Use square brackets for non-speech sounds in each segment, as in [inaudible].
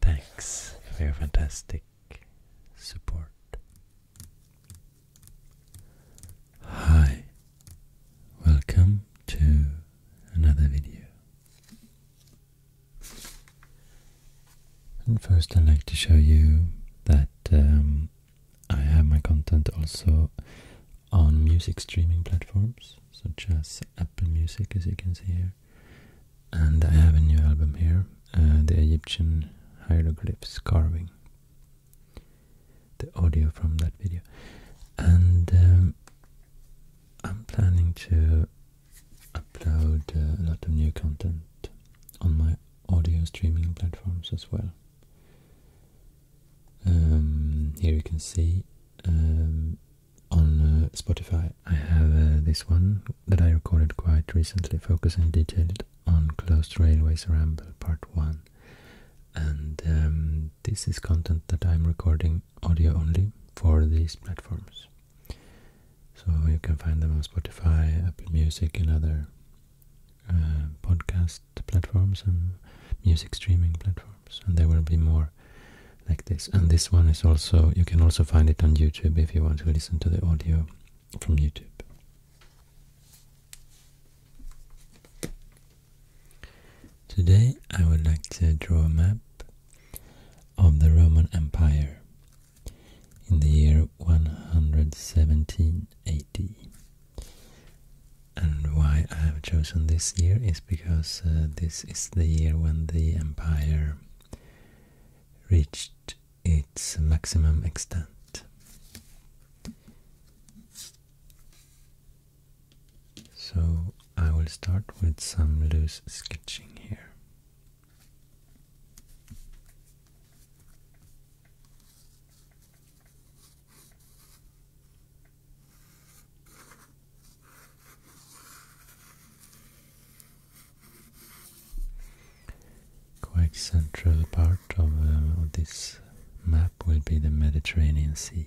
Thanks for your fantastic support. Hi, welcome to another video. And first, I'd like to show you that um, I have my content also on music streaming platforms such as Apple Music, as you can see here, and I have a new album here, uh, the Egyptian hieroglyphs carving. The audio from that video, and um, I'm planning to upload a lot of new content on my audio streaming platforms as well. Um, here you can see um, on uh, Spotify I have uh, this one that I recorded quite recently, focusing detailed on closed railways ramble part one. And um, this is content that I'm recording audio only for these platforms. So you can find them on Spotify, Apple Music, and other uh, podcast platforms and music streaming platforms. And there will be more like this. And this one is also, you can also find it on YouTube if you want to listen to the audio from YouTube. Today I would like to draw a map of the Roman Empire in the year 117 And why I have chosen this year is because uh, this is the year when the empire reached its maximum extent. So I will start with some loose sketching here. Quite central part uh, of, this map will be the Mediterranean Sea.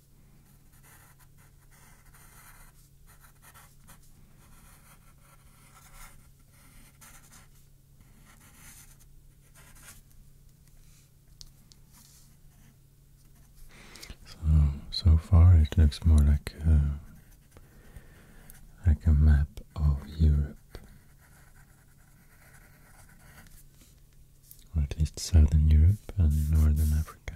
So, so far it looks more like a, like a map of Europe, or at least Southern Europe and Northern Africa.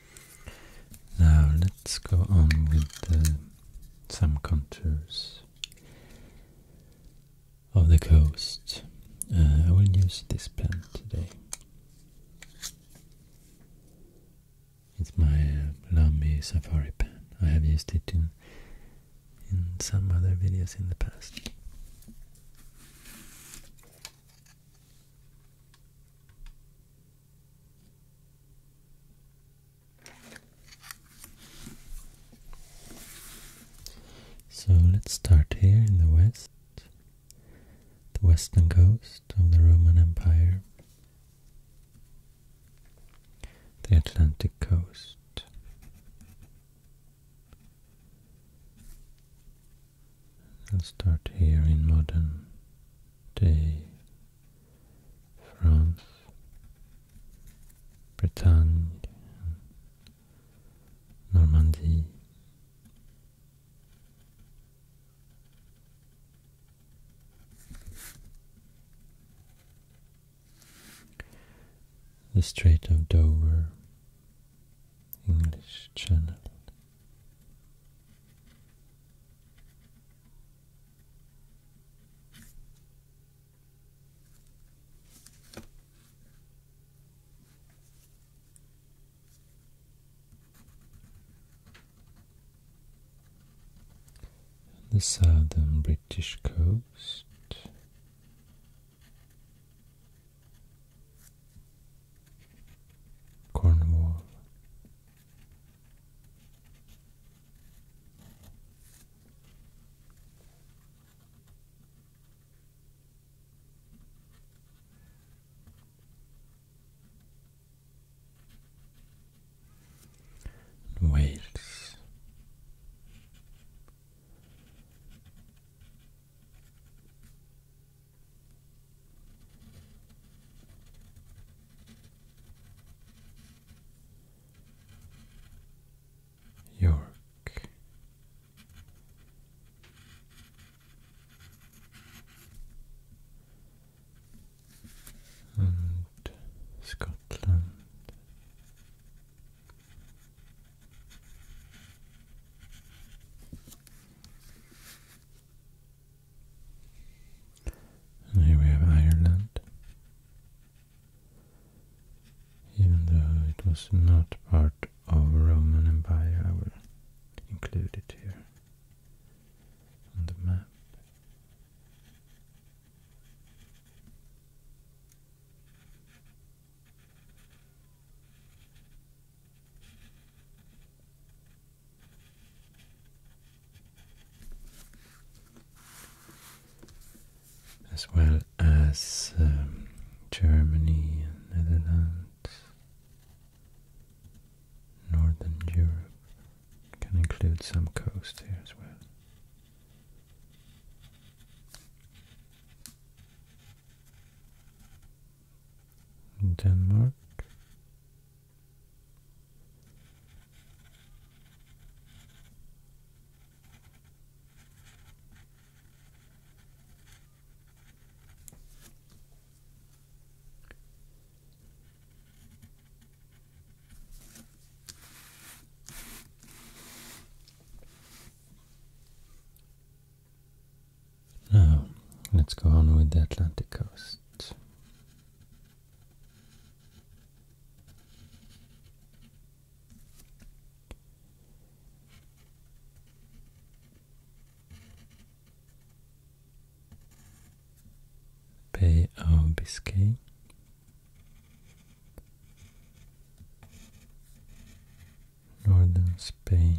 Now let's go on with some contours of the coast. Uh, I will use this pen today. It's my uh, Safari pen. I have used it in in some other videos in the past. So let's start here in the west, the western coast of the Roman Empire, the Atlantic coast. and start here in modern day France, Bretagne, Normandy. The Strait of Dover, English Channel the southern British coast. Cornwall, Wales York and Scotland. And here we have Ireland. Even though it was not part of Roman Empire, I will include it here on the map as well as um, Germany and Netherlands, Northern Europe can include some coast here as well. Denmark, now, let's go on with the Atlantic coast. Bay of Biscay. Northern Spain,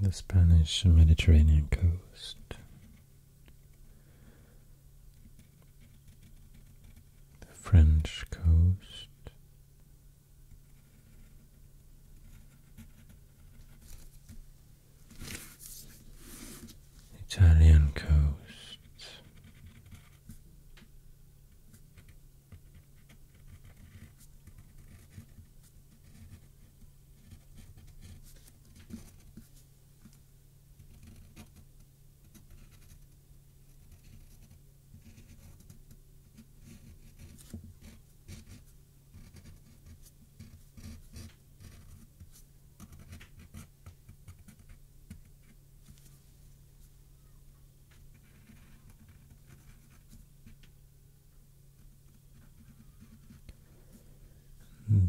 The Spanish Mediterranean coast. The French coast. Italian coast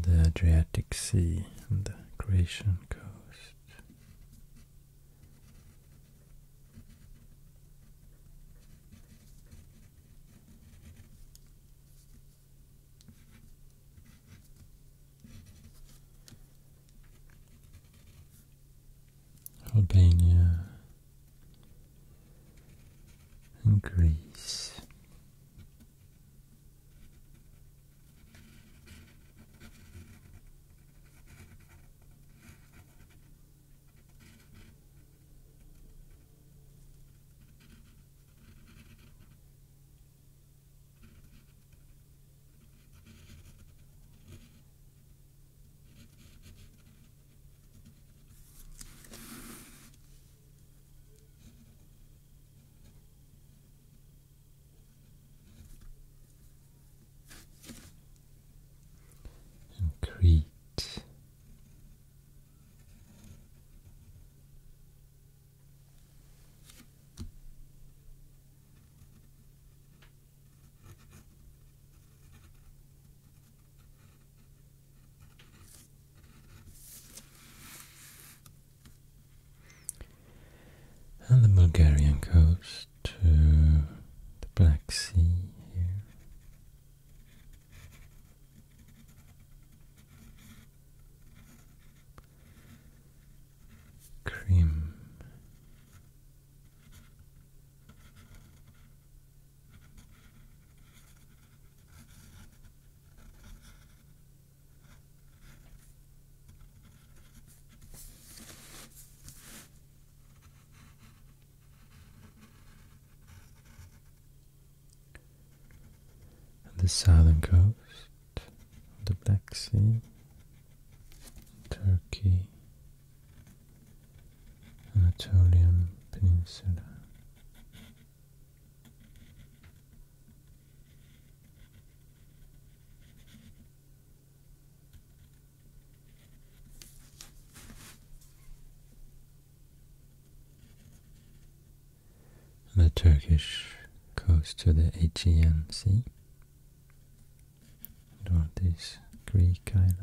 the Adriatic Sea and the Croatian coast. Albania and Greece and Crete and the Bulgarian coast to the Black Sea here cream and the southern coast of the Black Sea, Turkey, Anatolian Peninsula the Turkish coast to the Aegean Sea. There are these Greek islands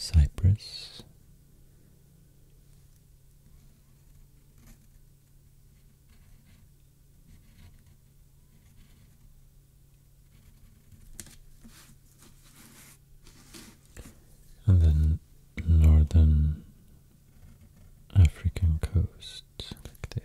Cyprus and then northern African coast like this.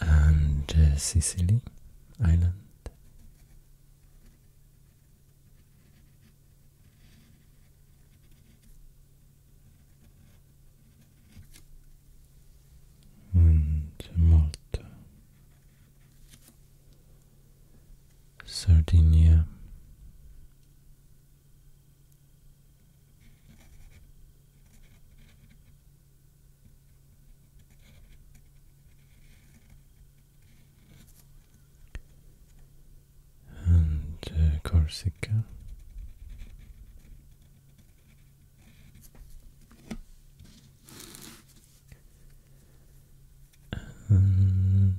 and uh, Sicily island. And Malta, Sardinia, and uh, Corsica. And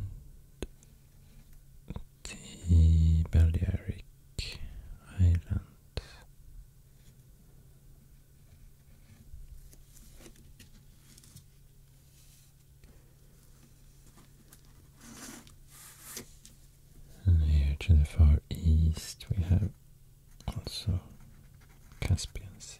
the Balearic Island. And here to the far east we have also Caspian Sea.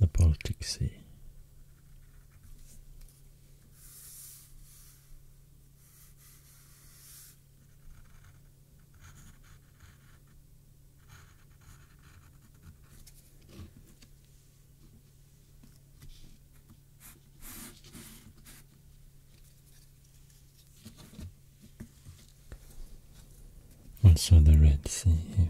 The Baltic Sea. Also the Red Sea here.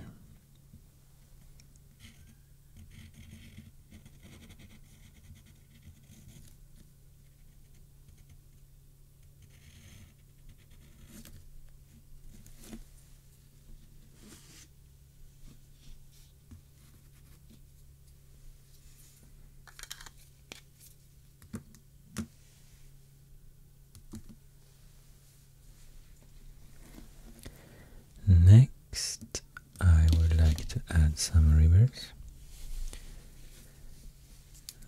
Next, I would like to add some rivers.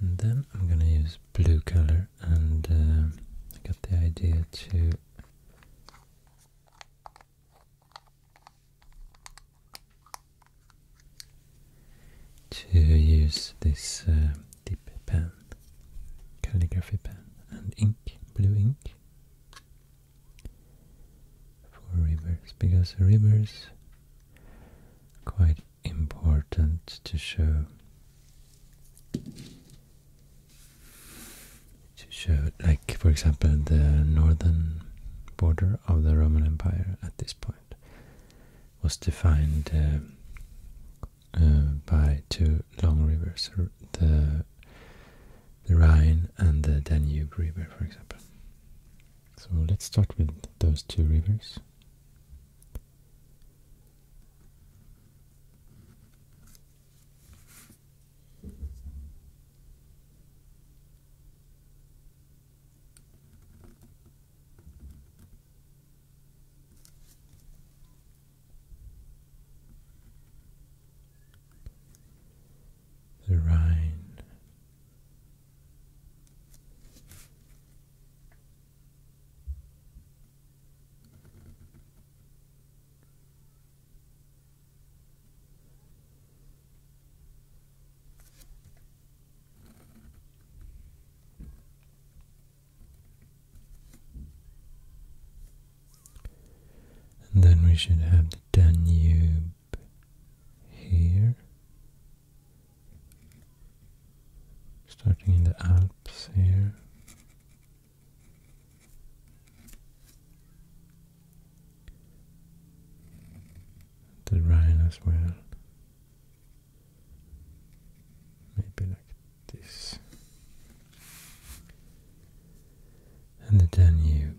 And then I'm gonna use blue color and uh, I got the idea to to use this uh, pen, calligraphy pen and ink, blue ink for rivers because rivers quite important to show to show like for example the northern border of the Roman Empire at this point was defined uh, uh, by two long rivers the the Rhine and the Danube River for example so let's start with those two rivers the Rhine. And then we should have the Danube here, starting in the Alps here. The Rhine as well. Maybe like this. And the Danube.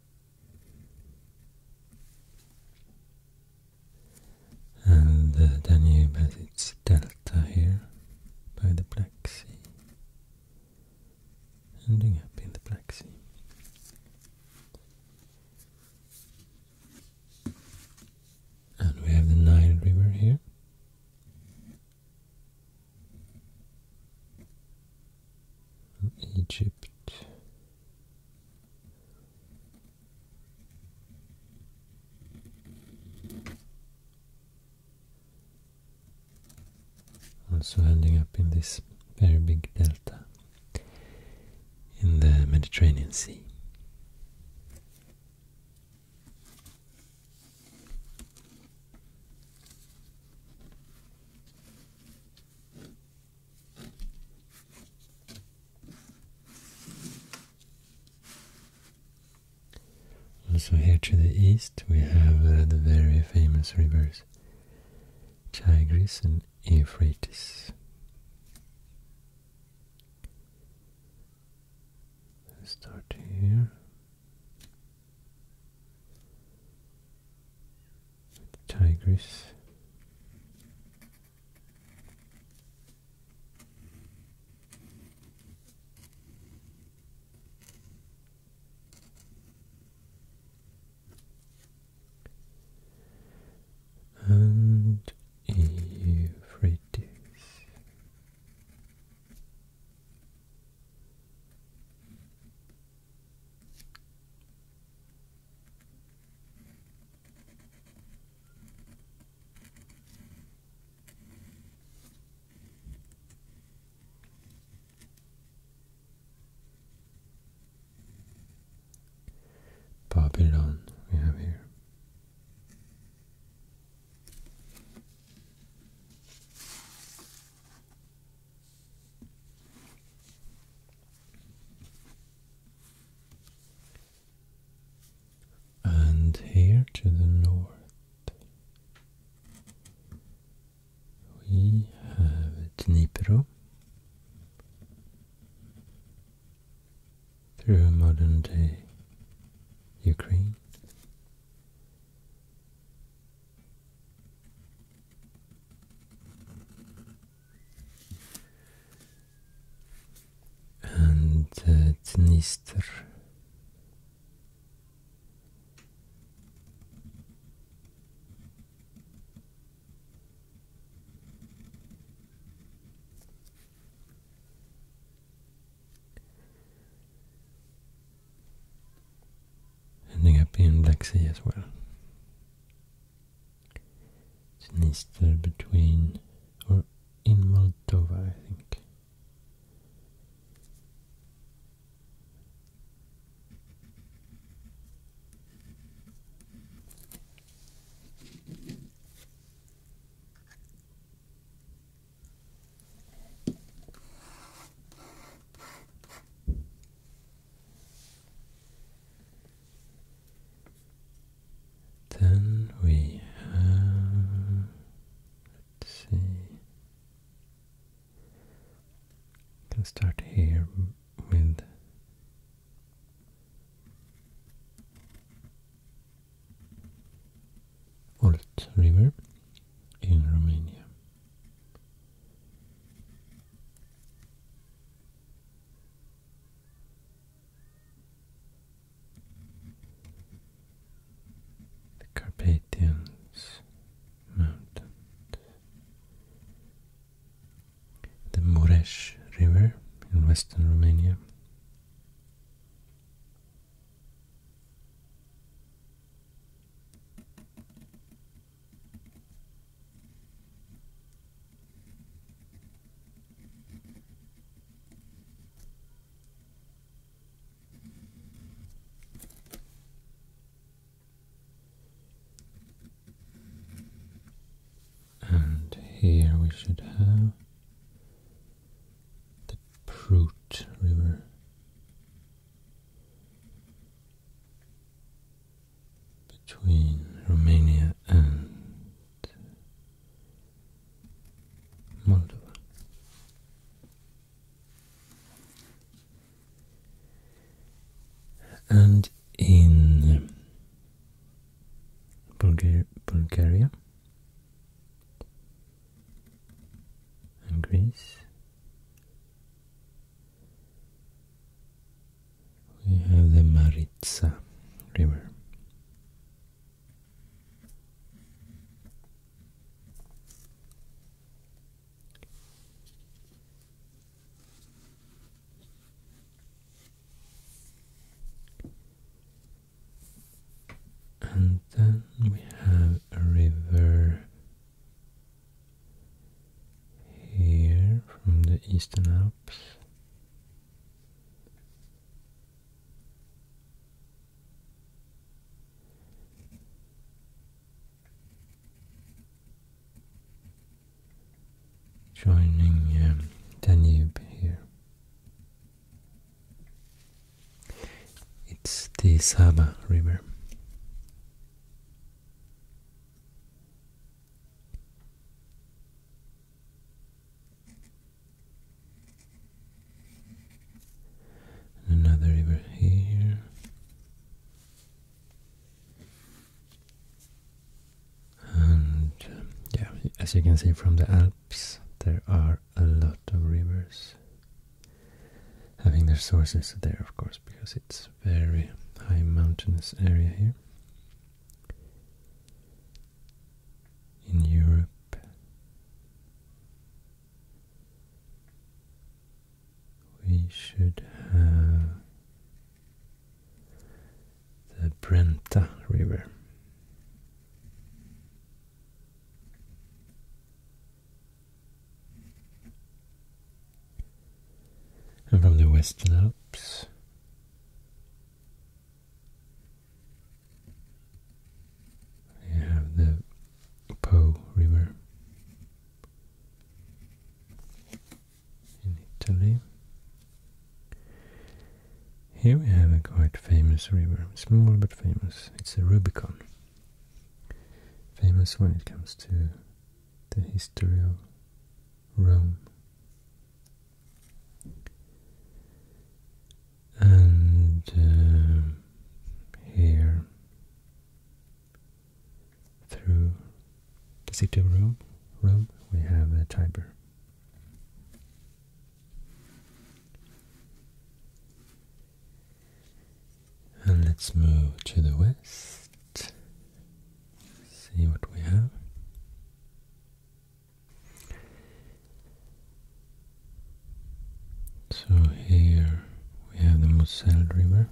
And uh, the Danube has its delta here by the Black Sea, ending up in the Black Sea. And we have the Nile River here. Egypt. Also ending up in this very big delta in the Mediterranean Sea. Also here to the east we have uh, the very famous rivers Tigris and Euphrates. start here. Tigris. And Euphrates. Babylon we have here. And here to the north, we have Dnipro through modern day Ukraine and uh, Dnister. ending up in Black Sea as well. It's an Easter between, or in Moldova, I think. Then we have, let's see, can start here with Olt River in Romania the Carpathians Mountains, the Mureș River in western Romania. And here we should have the Prut River between Romania and Moldova. And in Bulgaria and Greece we have the Maritsa River. And then we have a river here from the Eastern Alps. Joining um, Danube here. It's the Sava River another river here. And um, yeah, as you can see from the Alps, there are a lot of rivers having their sources there, of course, because it's very high mountainous area here in Europe, we should have the Brenta River. And from the Western Alps, you have the Po River in Italy. Here we have a quite famous river, small but famous. It's the Rubicon. Famous when it comes to the history of Rome and uh, here through the city of Rome, Rome we have the Tiber. And let's move to the west. See what we have. So here we have the Moselle River.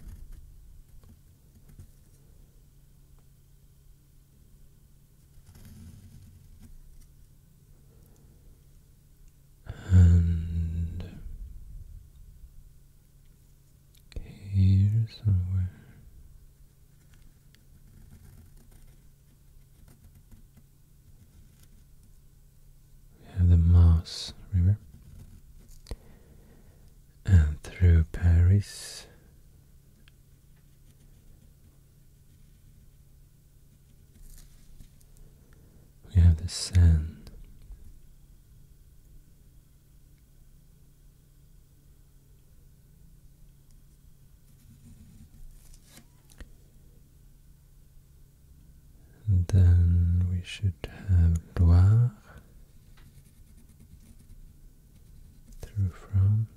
And here somewhere we have the Maas River. And through Paris. We have the Seine then we should have Loire through France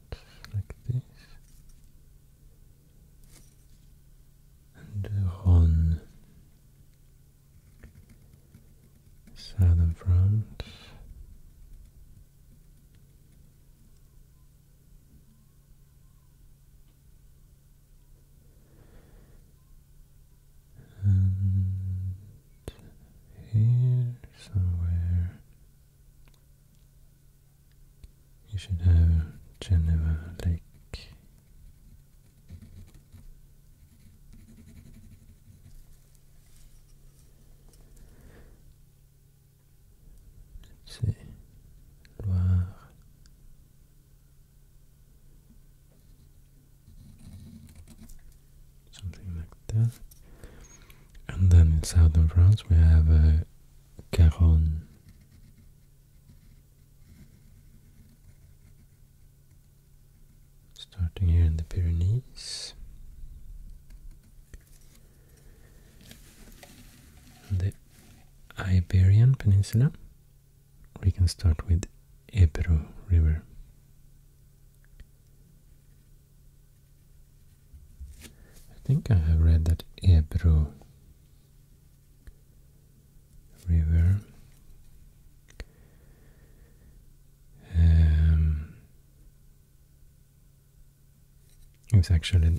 like this. And Rhône, southern France, and here somewhere you should have Geneva Lake. Loire. Something like that. And then in southern France we have a uh, Garonne. Starting here in the Pyrenees. The Iberian Peninsula, we can start with Ebro River. I think I have read that Ebro River um, it's actually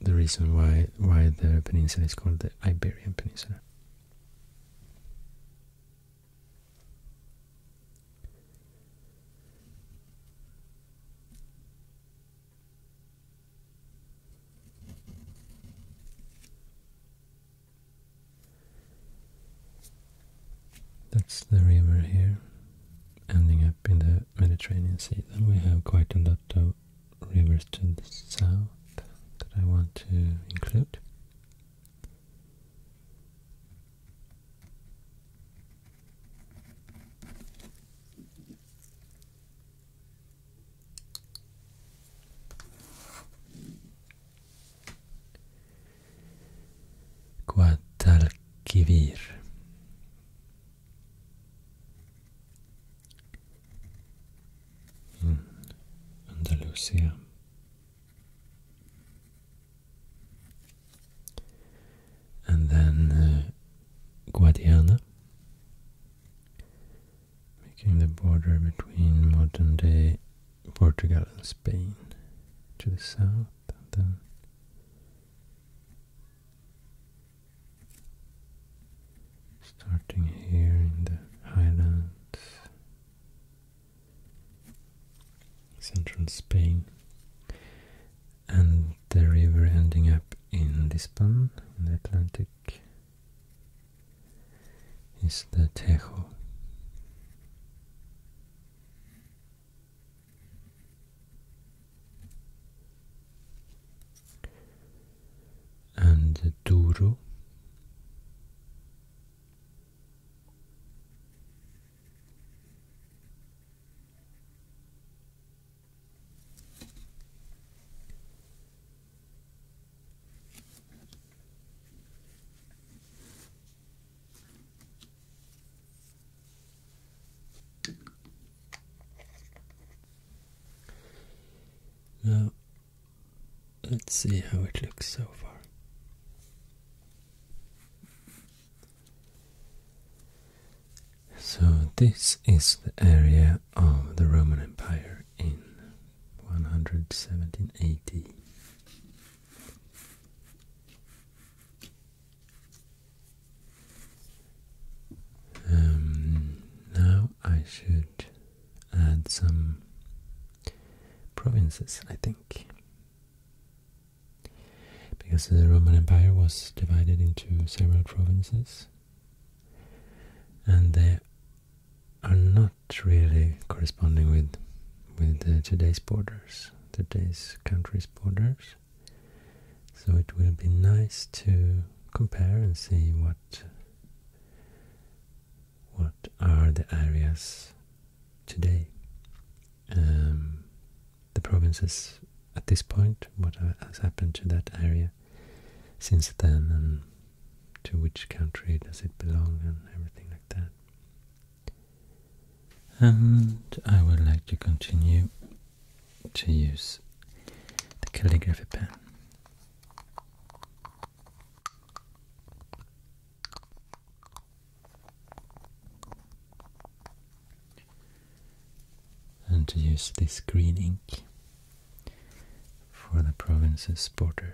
the reason why why the peninsula is called the Iberian Peninsula. That's the river here, ending up in the Mediterranean Sea. Then we have quite a lot of rivers to the south that I want to include. Guadalquivir Hmm. Andalusia. And then uh, Guadiana making the border between modern day Portugal and Spain to the south starting here in the highlands, central Spain, and the river ending up in Lisbon, in the Atlantic, is the Tejo and Duru. Now, let's see how it looks so far. So, this is the area of the Roman Empire in 117 um, now I should add some provinces, I think. Because the Roman Empire was divided into several provinces, and they are not really corresponding with with uh, today's borders, today's countries' borders. So it will be nice to compare and see what what are the areas today, um, the provinces at this point, what has happened to that area since then, and to which country does it belong, and everything like that. And I would like to continue to use the calligraphy pen. And to use this green ink for the province's borders.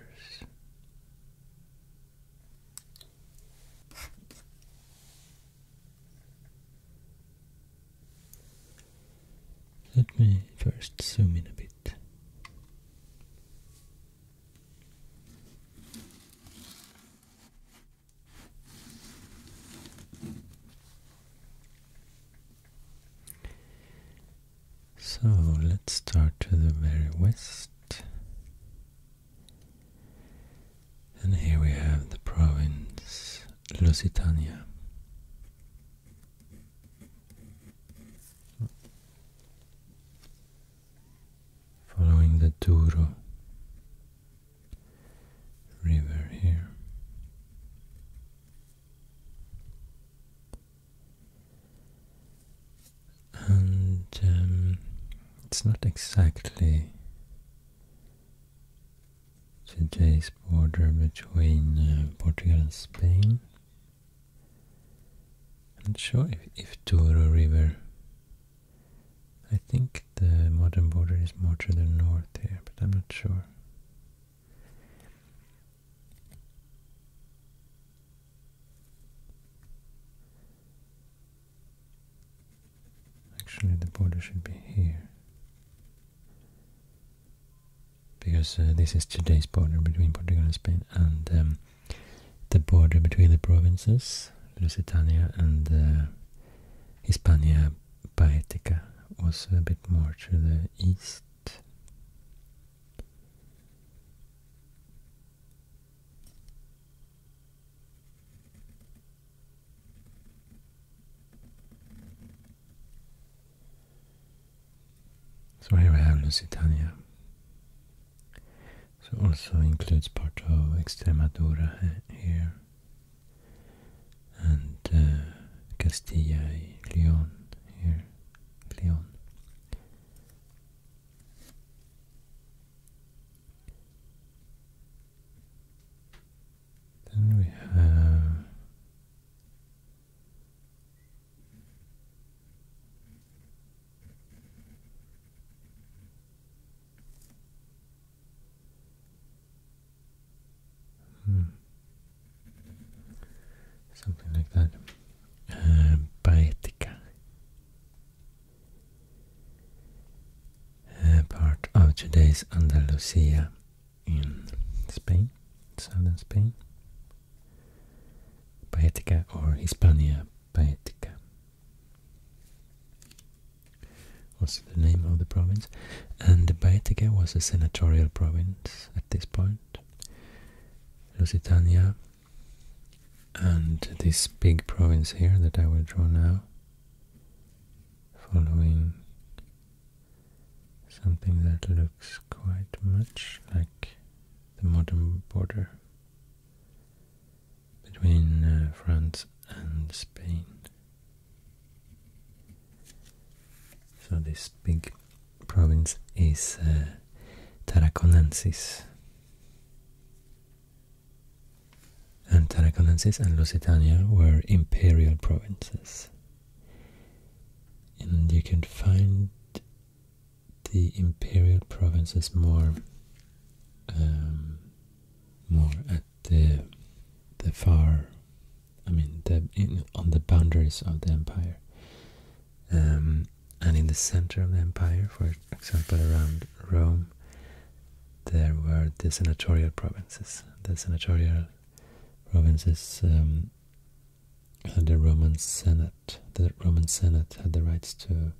Let me first zoom in a bit. So let's start to the very west. And here we have the province Lusitania. Following the Douro River here. And um, it's not exactly Today's border between uh, Portugal and Spain. I'm not sure if, if Douro River. I think the modern border is more to the north here, but I'm not sure. Actually, the border should be here. Because uh, this is today's border between Portugal and Spain, and um, the border between the provinces, Lusitania and uh, Hispania Baetica, was a bit more to the east. So here we have Lusitania. So also includes part of Extremadura here and uh, Castilla y Leon here, Leon. Then we have hmm, something like that. Baetica. Uh, uh, part of today's Andalusia in Spain, southern Spain. Baetica or Hispania Baetica was the name of the province. And Baetica was a senatorial province at this point. Lusitania and this big province here that I will draw now, following something that looks quite much like the modern border between uh, France and Spain. So this big province is uh, and Tarraconensis and Lusitania were imperial provinces. And you can find the imperial provinces more um, more at the the far I mean on the boundaries of the empire um, and in the center of the empire for example around Rome there were the senatorial provinces the senatorial provinces um, the Roman Senate. The Roman Senate had the rights to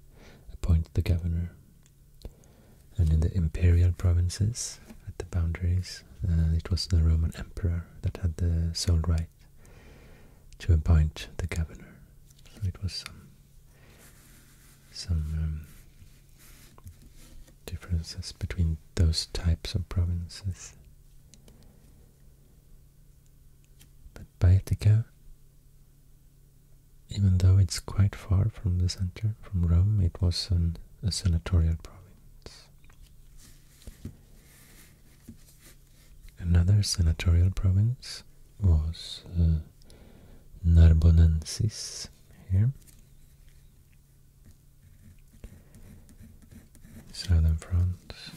appoint the governor. And in the imperial provinces, at the boundaries, uh, it was the Roman emperor that had the sole right to appoint the governor. So it was some um, differences between those types of provinces. But Baetica, even though it's quite far from the center, from Rome, it was a senatorial province. Another senatorial province was uh, Narbonensis here, southern France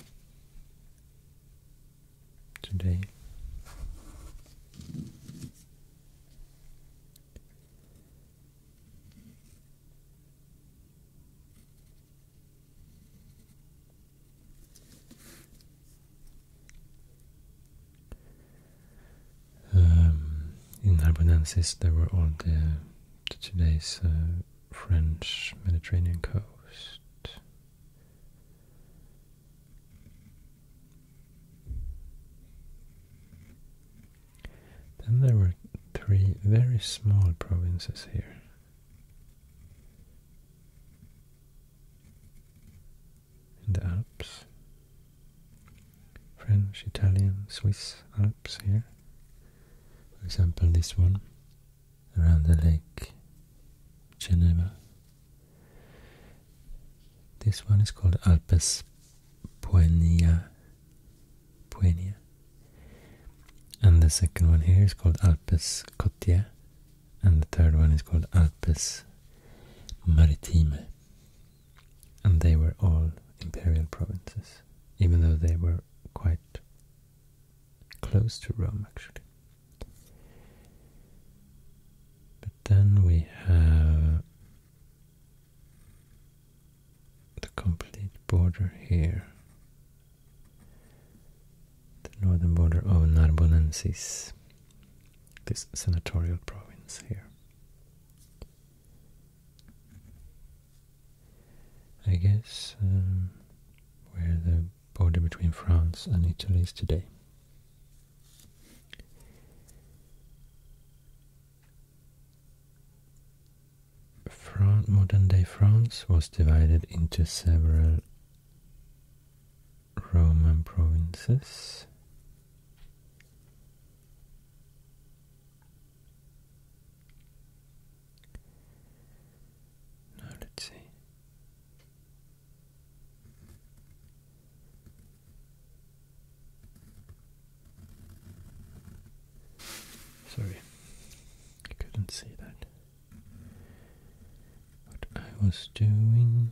today. Um, in Narbonensis there were all the, today's uh, French Mediterranean coast. Then there were three very small provinces here. In the Alps, French, Italian, Swiss Alps here. For example, this one around the lake Geneva. This one is called Alpes Poenia, Poenia, And the second one here is called Alpes Cotia. And the third one is called Alpes Maritime and they were all imperial provinces, even though they were quite close to Rome actually. But then we have the complete border here. The northern border of Narbonensis, this senatorial province here. I guess um, where the border between France and Italy is today. modern day France was divided into several Roman provinces. Now let's see. Sorry, I couldn't see that. What I was doing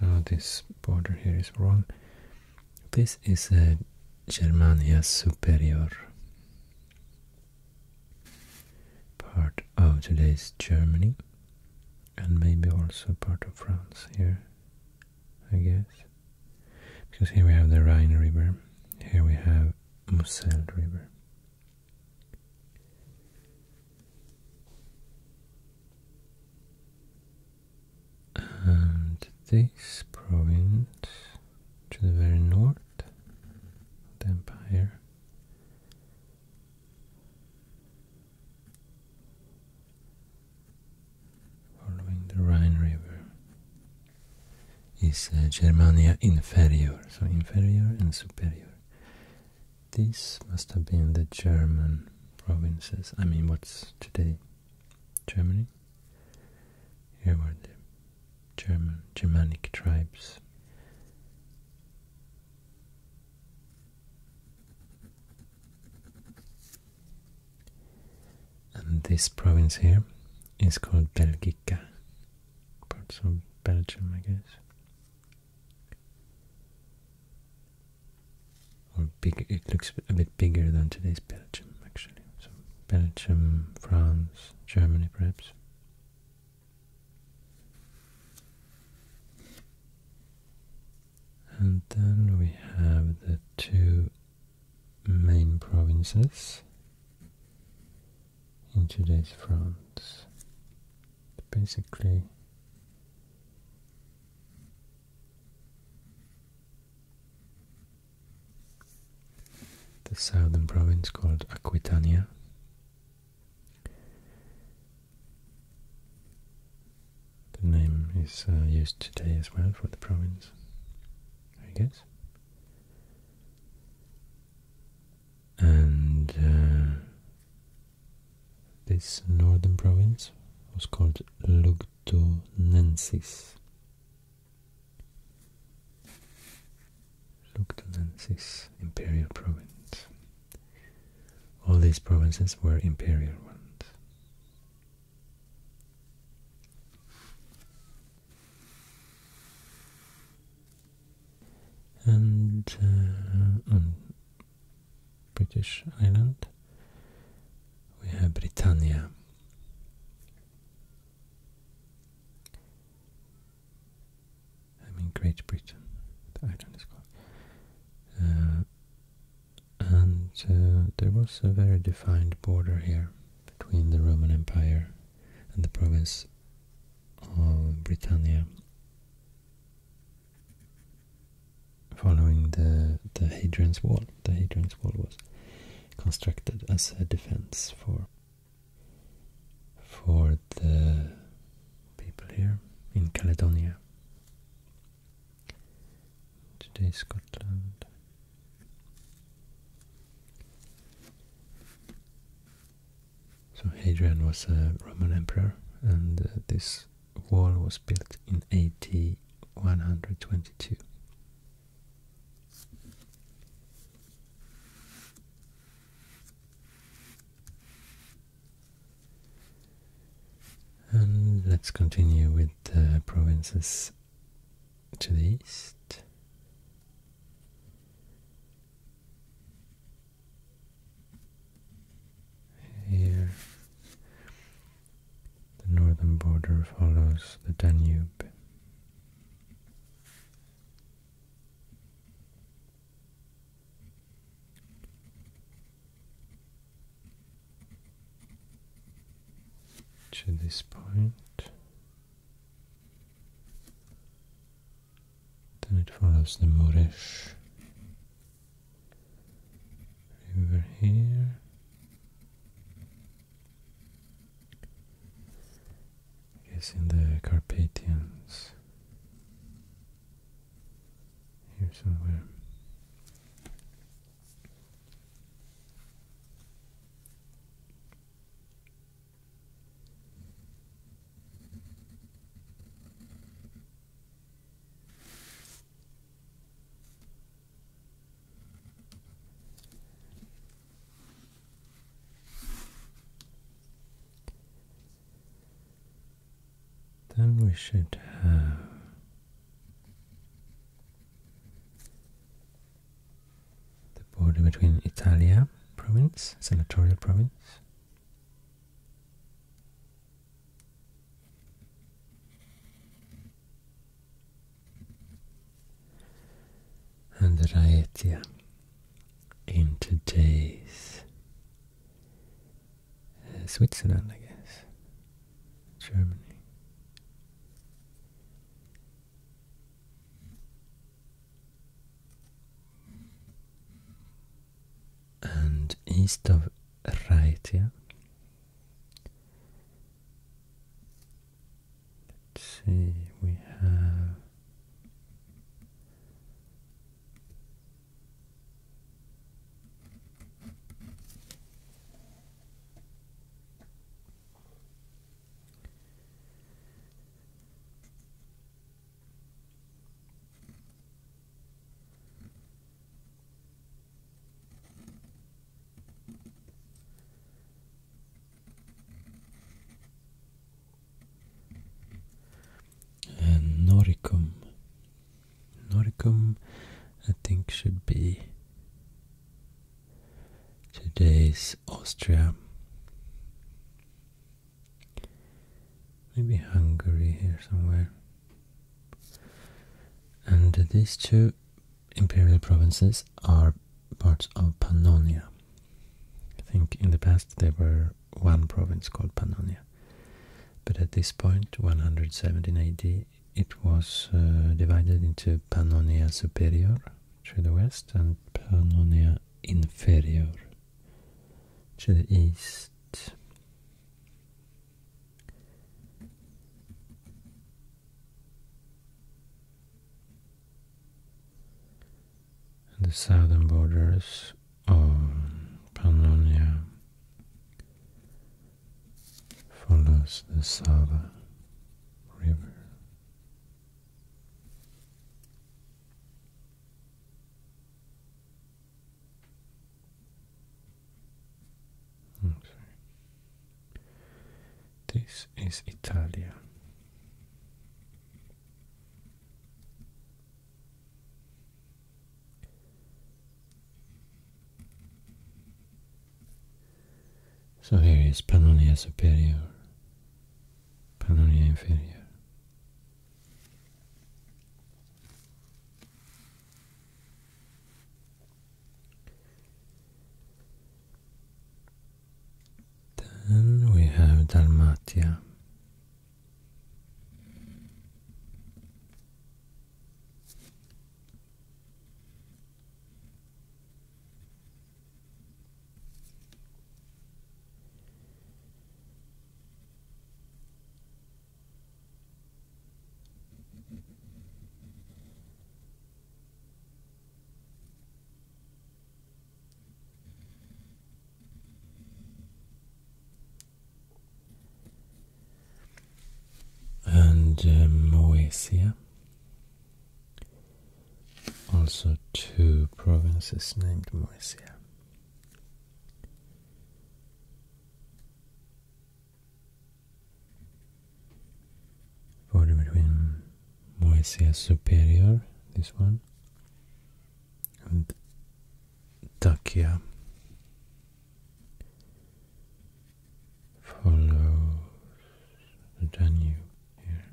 So this border here is wrong. This is a Germania Superior, part of today's Germany, and maybe also part of France here. I guess. Because here we have the Rhine River, here we have Moselle River. And this province to the very north, the empire following the Rhine River, is uh, Germania Inferior. So inferior and superior. This must have been the German provinces, I mean what's today Germany. Here were the German, Germanic tribes. And this province here is called Belgica, parts of Belgium, I guess. Or big, it looks a bit bigger than today's Belgium, actually. So Belgium, France, Germany, perhaps. And then we have the two main provinces in today's France. Basically, the southern province called Aquitania. The name is uh, used today as well for the province, I guess. And uh, this northern province was called Lugdunensis. Lugdunensis, imperial province. All these provinces were imperial ones. And uh, on British Island we have Britannia. I mean Great Britain, the island is called. Uh, and uh, there was a very defined border here between the Roman Empire and the province of Britannia following the, the Hadrian's Wall. The Hadrian's Wall was constructed as a defense for for the people here in Caledonia. Today Scotland so Hadrian was a Roman emperor and uh, this wall was built in AD 122. And let's continue with the provinces to the east. Here, the northern border follows the Danube. To this point, then it follows the Morish river here. I guess in the Carpathians here somewhere. Then we should have the border between Italia province, senatorial province, and Raetia in today's uh, Switzerland, I guess, Germany and east of Raitia. see, we have Noricum. Noricum I think should be today's Austria. Maybe Hungary here somewhere. And these two imperial provinces are parts of Pannonia. I think in the past there were one province called Pannonia. But at this point, 117 AD, it was uh, divided into Pannonia Superior, to the west and Pannonia Inferior to the east. And the southern borders of Pannonia follows the Sava river this is Italia. So here is Pannonia Superior, Pannonia Inferior. Then we have Dalmatia. And um, Moesia also two provinces named Moesia. Border between Moesia Superior, this one, and Dacia. Follows the Danube here.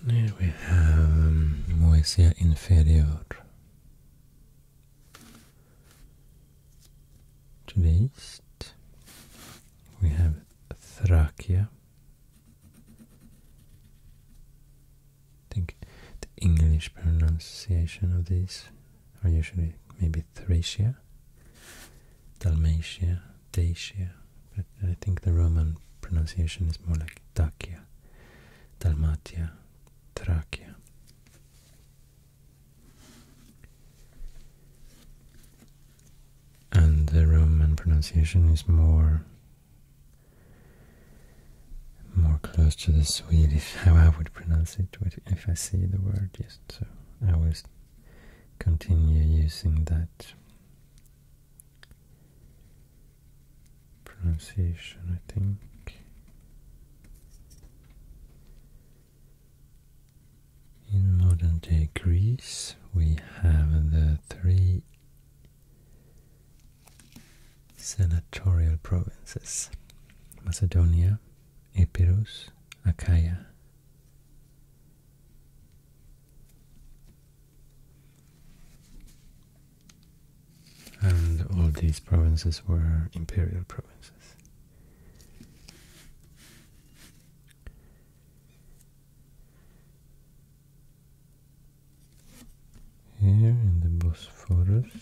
And here we have um, Moesia inferior. To the east, we have Thracia. I think the English pronunciation of this are usually maybe Thracia, Dalmatia, Dacia, but I think the Roman pronunciation is more like Dacia, Dalmatia, Thracia and the Roman pronunciation is more more close to the Swedish how I would pronounce it if I see the word Yes, so I will continue using that pronunciation I think in modern day Greece, we have the three senatorial provinces Macedonia, Epirus, Achaia and all these provinces were imperial provinces. Here in the Bosporus,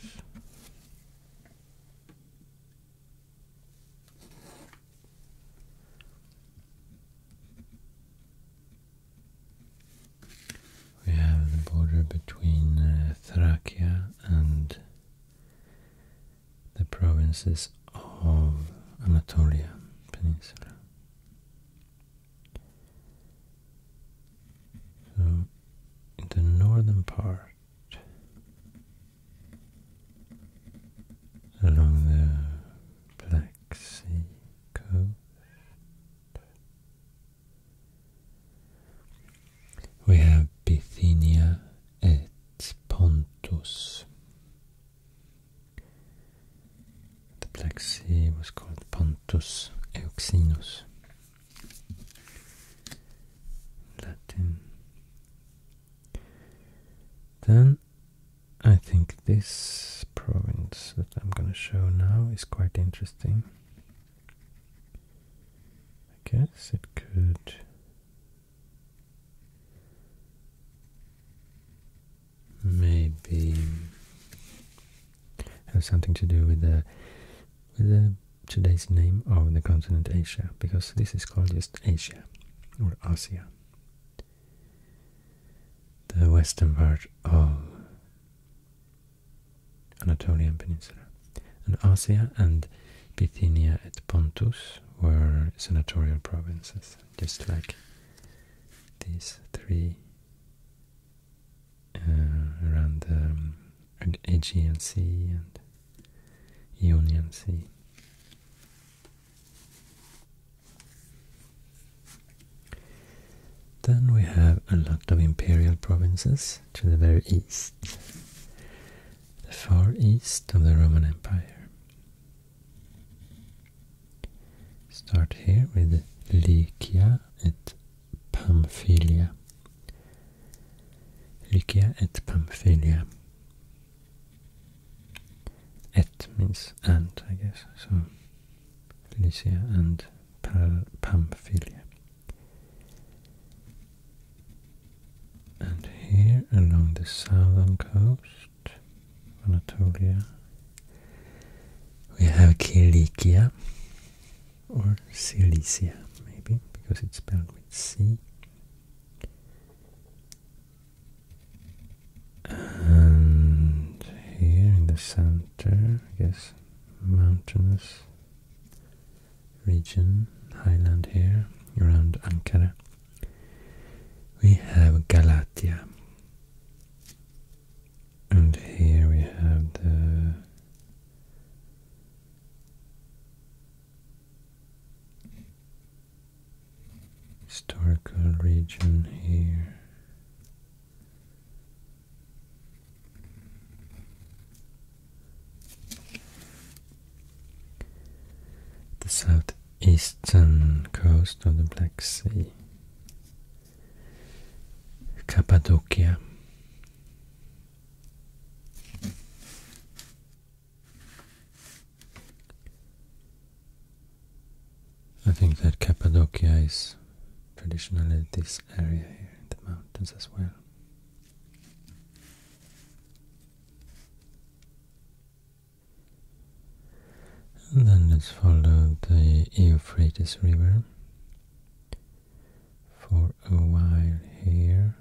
We have the border between uh, Thracia and the provinces of Anatolia Peninsula. in the northern part, along the Black Sea coast, we have Bithynia et Pontus. The Black Sea was called Pontus Euxinus. Latin. Then I think this province that I'm going to show now is quite interesting. I guess it could maybe have something to do with the with the today's name of the continent Asia, because this is called just Asia or Asia. The western part of Anatolian peninsula. And Asia and Bithynia et Pontus were senatorial provinces, just like these three uh, around the um, Aegean Sea and Ionian Sea. Then we have a lot of imperial provinces to the very east, the far east of the Roman Empire. Start here with Lycia et Pamphylia. Lycia et Pamphylia. Et means and, I guess, so Lycia and Pamphylia. And here along the southern coast of Anatolia, we have Kilikia or Cilicia, maybe because it's spelled with C. And here in the center, I guess, mountainous region, highland here, around Ankara. We have Galatia. And here we have the historical region here the southeastern coast of the Black Sea, Cappadocia. I think that Cappadocia is traditionally this area here in the mountains as well. And then let's follow the Euphrates River for a while here.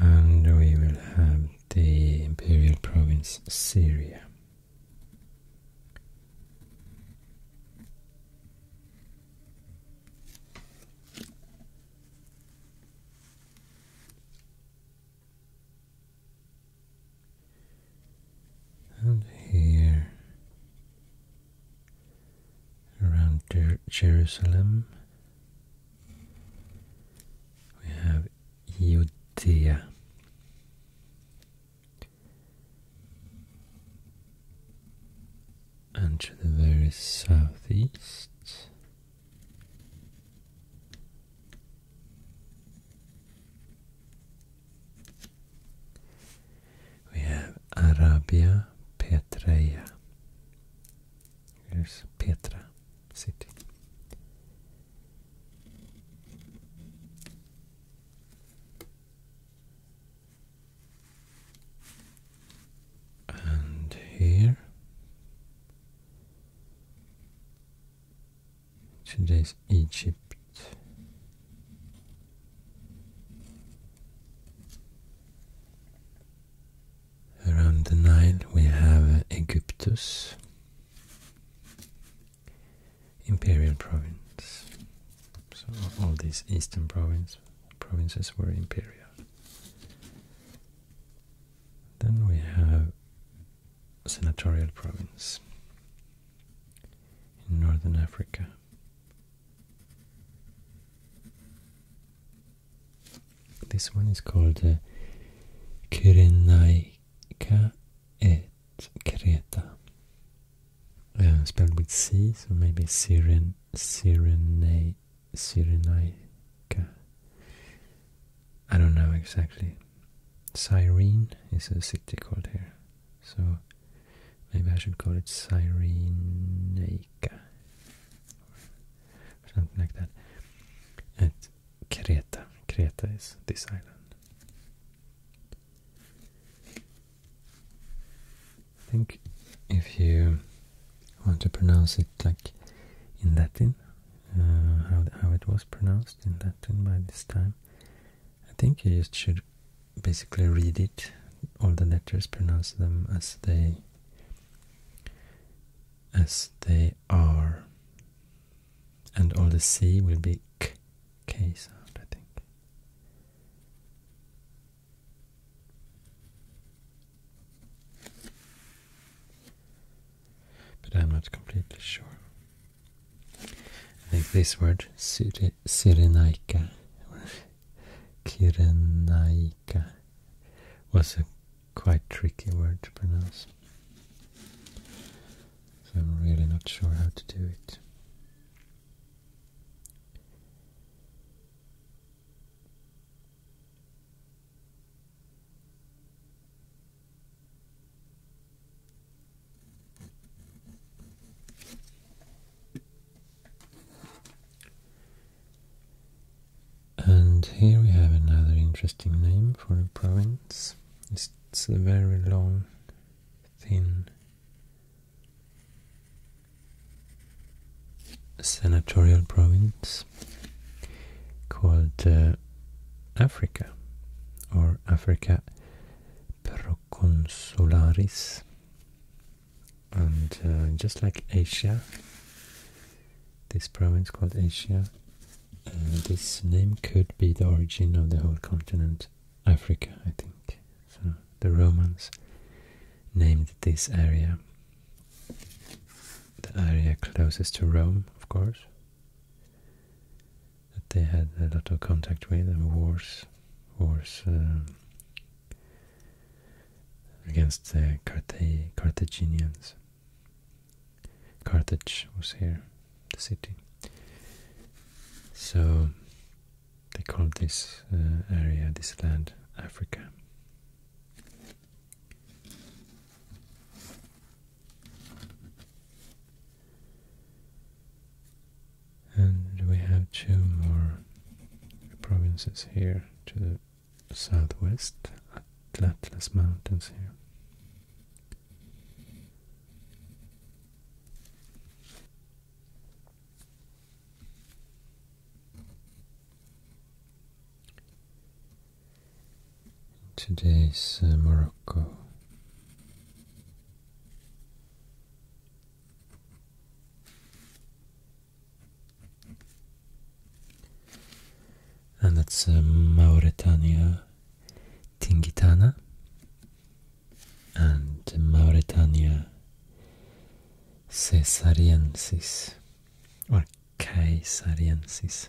And we will have the imperial province Syria. And here, around Jerusalem, we have Judea. And to the very southeast, we have Arabia Petraea. Here's Petra city and here. Today's Egypt. Around the Nile we have Egyptus, imperial province. So all these eastern province, provinces were imperial. Then we have Senatorial Province in Northern Africa. This one is called uh, et Krieta, uh, spelled with C, so maybe Siren, Sirenaica Cyrenaica. I don't know exactly. Cyrene is a city called here, so maybe I should call it Cyrenaica, or something like that. At Creta. Creta is this island. I think if you I want to pronounce it like in Latin, uh, how, how it was pronounced in Latin by this time. I think you just should basically read it, all the letters, pronounce them as they as they are. And all the C will be K, K sound, I think. But I'm not completely sure. I think this word, Siri, Kirenaika, was a quite tricky word to pronounce. So I'm really not sure how to do it. And here we have another interesting name for a province. It's, it's a very long, thin senatorial province called uh, Africa or Africa Proconsularis and uh, just like Asia this province called Asia uh, this name could be the origin of the whole continent Africa I think the Romans named this area the area closest to Rome, of course, that they had a lot of contact with and wars, wars uh, against the Carthaginians. Carthage was here, the city. So they called this uh, area, this land, Africa. And we have two more provinces here to the southwest, Atlas Mountains here. Today's uh, Morocco. And that's uh, Mauritania Tingitana and Mauritania Caesariensis Caesariensis.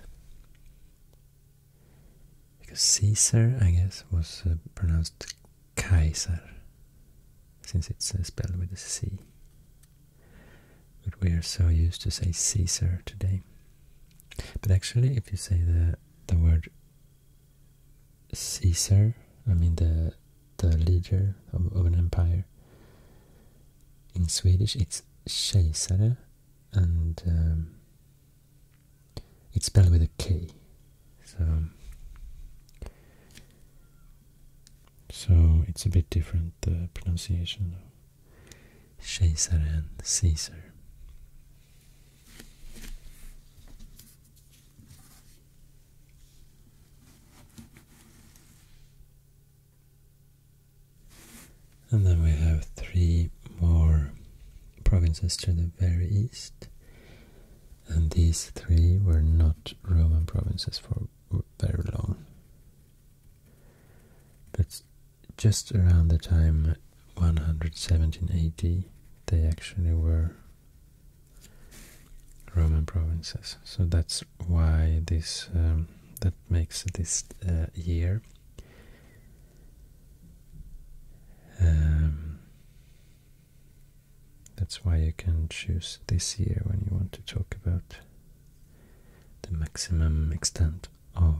Because Caesar, I guess, was uh, pronounced Kaiser, since it's uh, spelled with a C. But we are so used to say Caesar today. But actually, if you say the the word Caesar, I mean the the leader of an empire, in Swedish it's kejsare and um, it's spelled with a K. So, so it's a bit different, the pronunciation of kejsare and Caesar. And then we have three more provinces to the very east. And these three were not Roman provinces for very long. But just around the time 117 they actually were Roman provinces. So that's why this um, that makes this uh, year um, that's why you can choose this year when you want to talk about the maximum extent of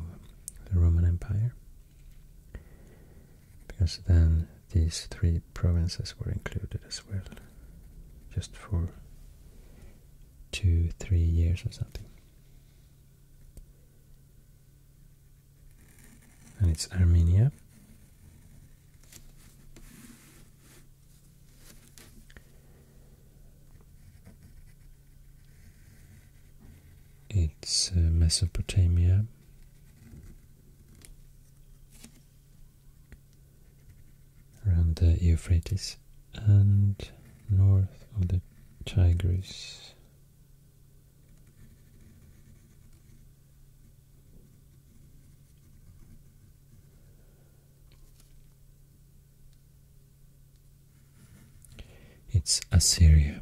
the Roman Empire because then these three provinces were included as well just for two, three years or something and it's Armenia. It's uh, Mesopotamia. Around the uh, Euphrates, and north of the Tigris. It's Assyria.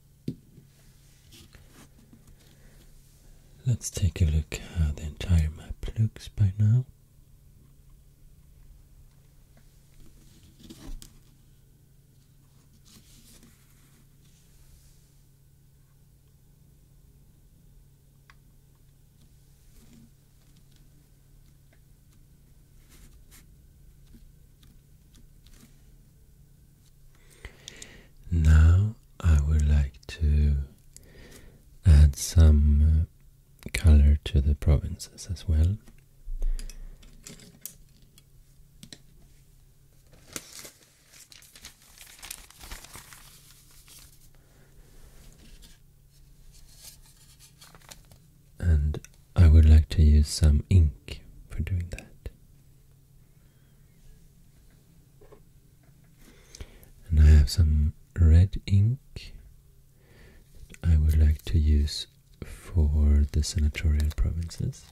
Let's take a look how the entire map looks by now. Now I would like to add some uh, color to the provinces as well. And I would like to use some ink for doing that. And I have some red ink I would like to use for the senatorial provinces.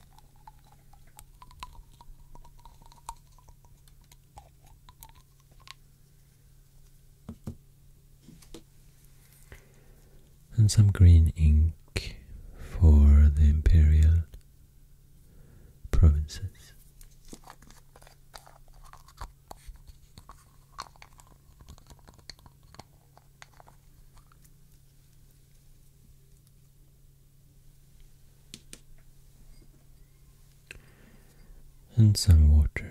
And some green ink for the imperial provinces. And some water.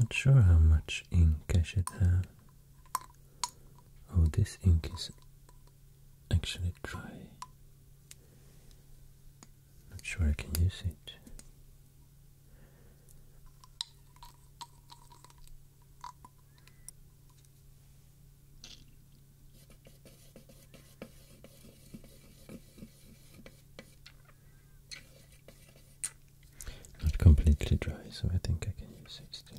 Not sure how much ink I should have. Oh, this ink is actually dry. Not sure I can use it. Not completely dry, so I think I can use it still.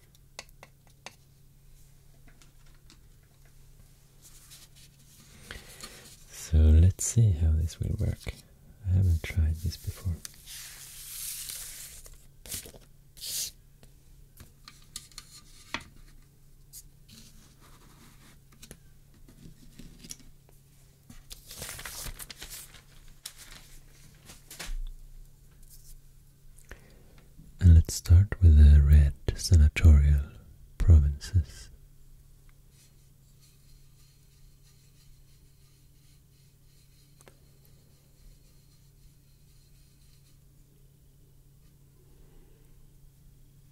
So let's see how this will work. I haven't tried this before. And let's start with the red senatorial provinces.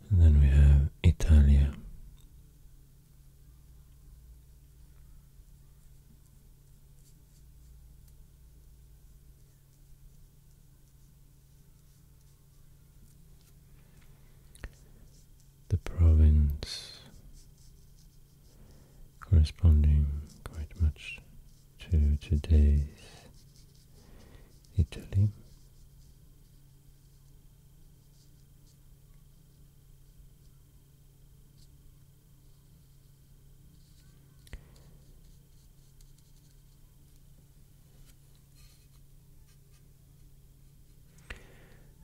And then we have Italia. The province corresponding quite much to today's Italy.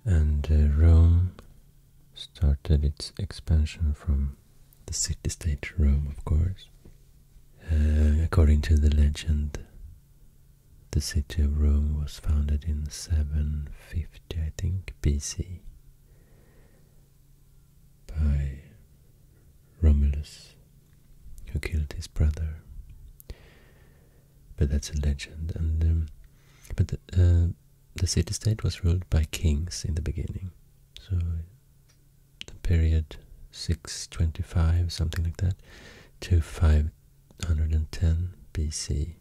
And uh, Rome started its expansion from the city-state Rome, of course. Uh, according to the legend, the city of Rome was founded in 750, I think, BC by Romulus, who killed his brother. But that's a legend. And um, but the uh, city-state was ruled by kings in the beginning, so the period 625, something like that, to 510 BC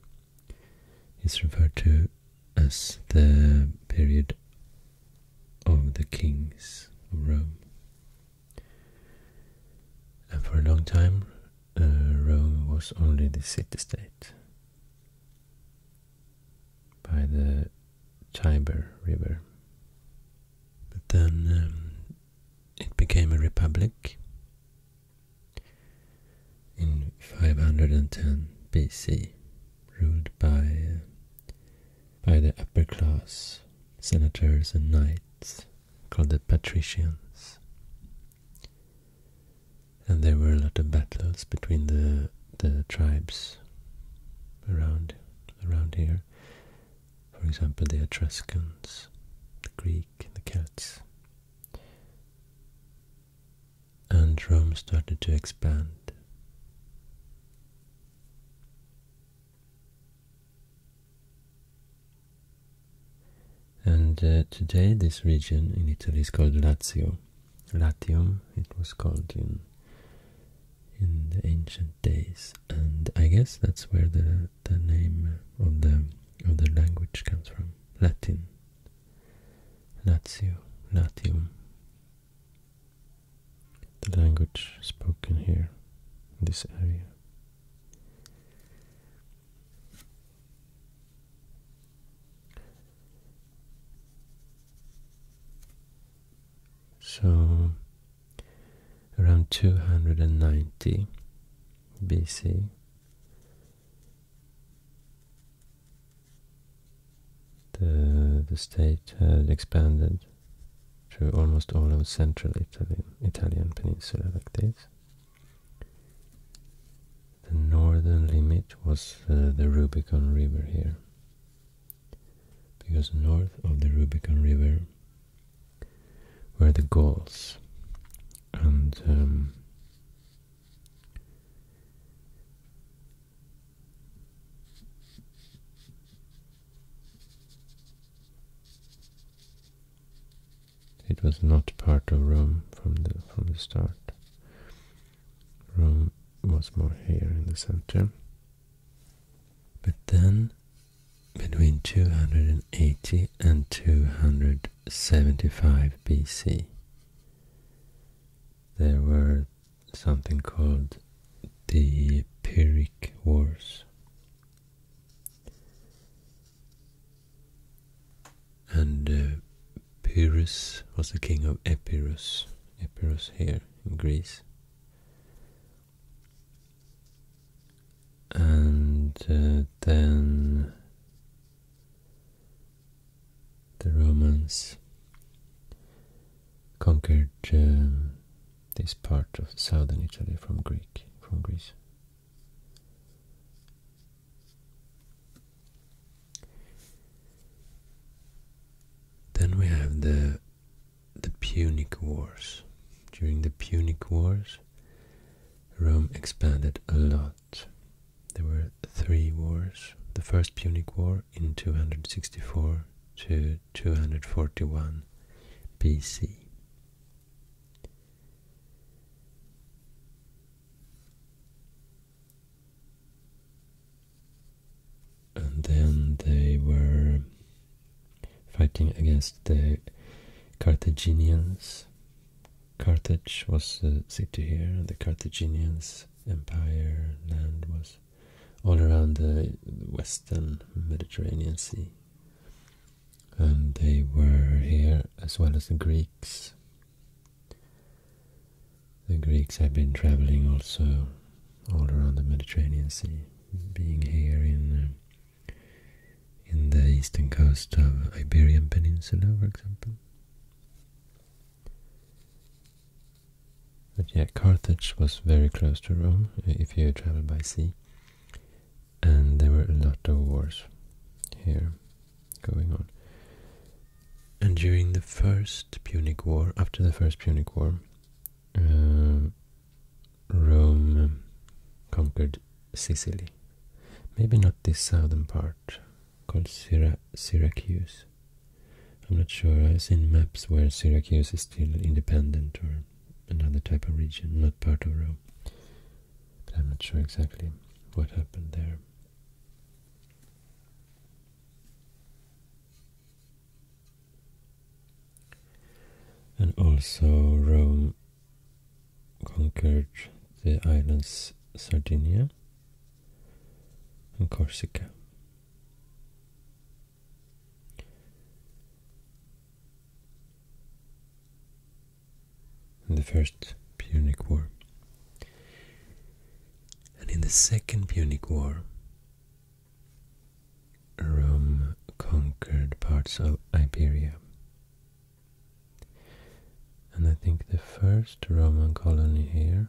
is referred to as the period of the kings of Rome. And for a long time, uh, Rome was only the city-state by the Tiber River. But then um, it became a republic in 510 BC ruled by by the upper class senators and knights called the patricians. And there were a lot of battles between the the tribes around around here. For example, the Etruscans, the Greek, the Celts and Rome started to expand. And uh, today this region in Italy is called Latium. Latium, it was called in in the ancient days, and I guess that's where the the name of the of the language comes from. Latin. Lazio, Latium the language spoken here in this area. So, around 290 BC, the, the state had expanded through almost all of central Italy, Italian peninsula like this. The northern limit was uh, the Rubicon River here, because north of the Rubicon River were the Gauls, and um, it was not part of Rome from the from the start. Rome was more here in the center. But then between 280 and 275 BC there were something called the Pyrrhic Wars. And uh, Pyrrhus was the king of Epirus, Epirus here in Greece. And uh, then the Romans conquered um, this part of southern Italy from from Greece. Then we have the the Punic Wars. During the Punic Wars, Rome expanded a lot. There were three wars. The first Punic War in 264 to 241 BC. And then they were fighting against the Carthaginians. Carthage was uh, a city here, and the Carthaginians' empire land was all around the western Mediterranean Sea. And they were here as well as the Greeks. The Greeks had been traveling also all around the Mediterranean Sea, being here in uh, in the eastern coast of Iberian Peninsula, for example. But yeah, Carthage was very close to Rome uh, if you travel by sea. And there were a lot of wars here going on. And during the First Punic War, after the First Punic War, uh, Rome conquered Sicily. Maybe not this southern part called Syra Syracuse. I'm not sure, I've seen maps where Syracuse is still independent or another type of region, not part of Rome. But I'm not sure exactly what happened there. And also Rome conquered the islands Sardinia and Corsica in the First Punic War. And in the Second Punic War, Rome conquered parts of Iberia. And I think the first Roman colony here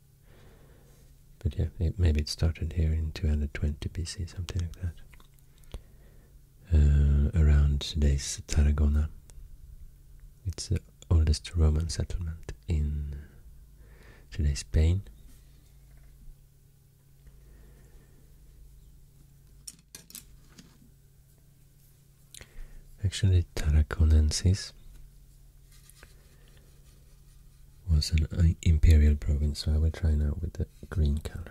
But yeah, maybe it started here in 220 BC, something like that. Uh, around today's Tarragona. It's the oldest Roman settlement in today's Spain. Actually, Tarraconensis was an uh, imperial province, so I will try now with the green color.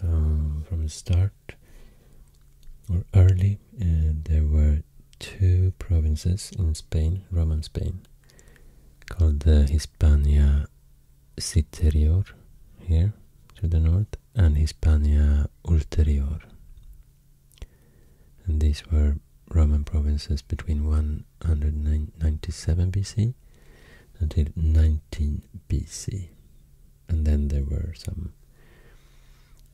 So from the start or early, uh, there were two provinces in Spain, Roman Spain, called the Hispania Citerior here to the north and Hispania Ulterior and these were Roman provinces between 197 BC until 19 BC. And then there were some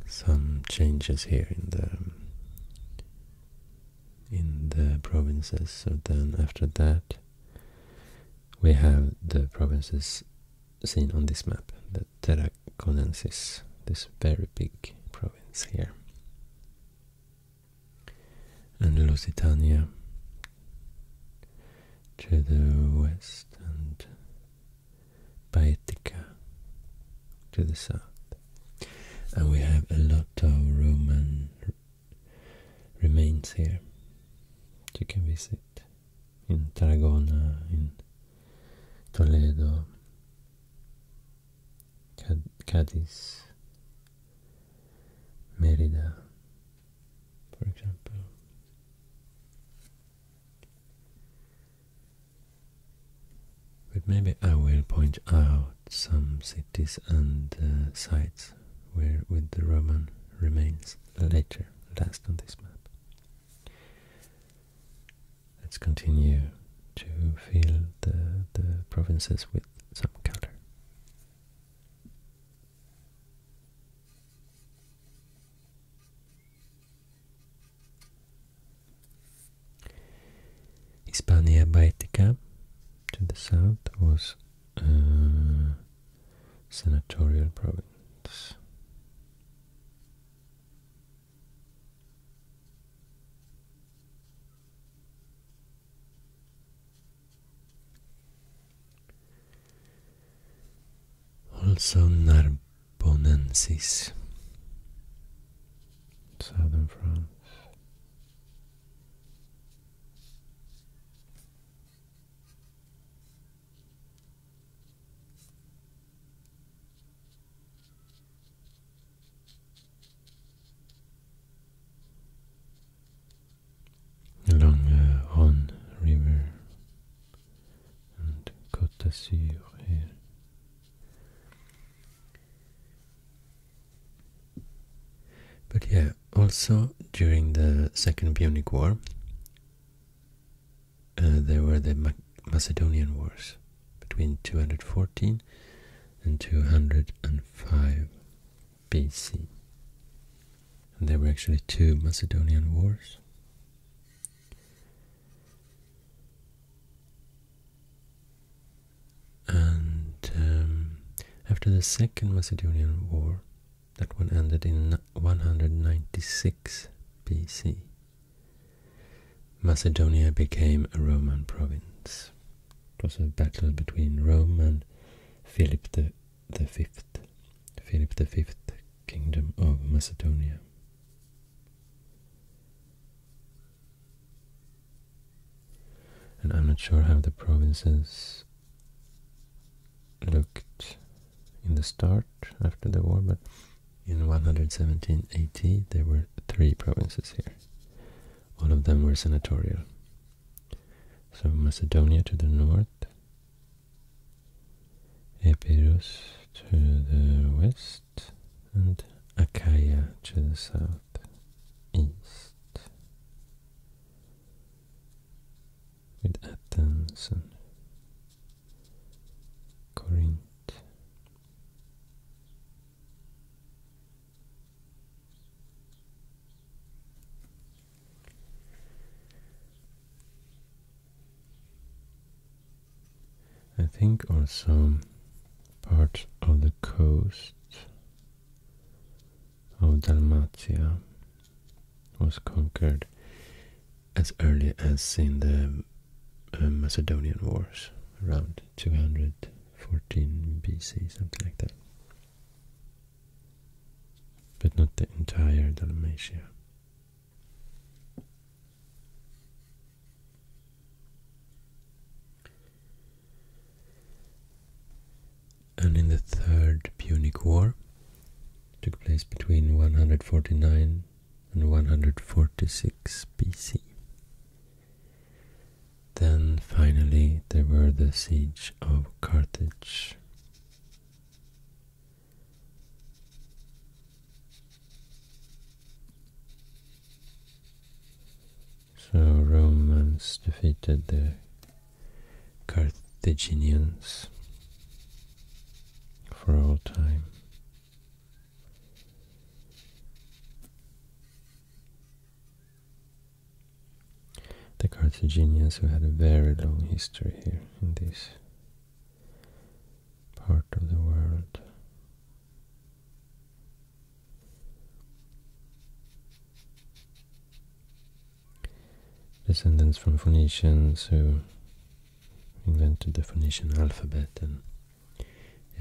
some changes here in the in the provinces. So then after that we have the provinces seen on this map, the Terraconensis, this very big province here and Lusitania to the west and Baetica to the south. And we have a lot of Roman remains here. You can visit in Tarragona, in Toledo, Cadiz, Merida, for example. But maybe I will point out some cities and uh, sites where with the Roman remains later, last on this map. Let's continue to fill the, the provinces with some color. Hispania Baetica to the south was a senatorial province. Also Narbonensis, southern France along the uh, Rhone River and Côte here. But yeah, also during the Second Punic War, uh, there were the Macedonian Wars, between 214 and 205 BC. And there were actually two Macedonian wars. And um, after the Second Macedonian War, that one ended in 196 BC. Macedonia became a Roman province. It was a battle between Rome and Philip the, Fifth, Philip the Fifth, Kingdom of Macedonia. And I'm not sure how the provinces looked in the start after the war, but in 117 there were three provinces here all of them were senatorial. So Macedonia to the north, Epirus to the west, and Achaia to the south east, with Athens and Corinth. I think also part of the coast of Dalmatia was conquered as early as in the uh, Macedonian Wars, around 200 14 BC, something like that. But not the entire Dalmatia. And in the Third Punic War, took place between 149 and 146 BC. Then finally there were the siege of Carthage. So Romans defeated the Carthaginians for all time the Carthaginians who had a very long history here in this part of the world. Descendants from Phoenicians who invented the Phoenician alphabet and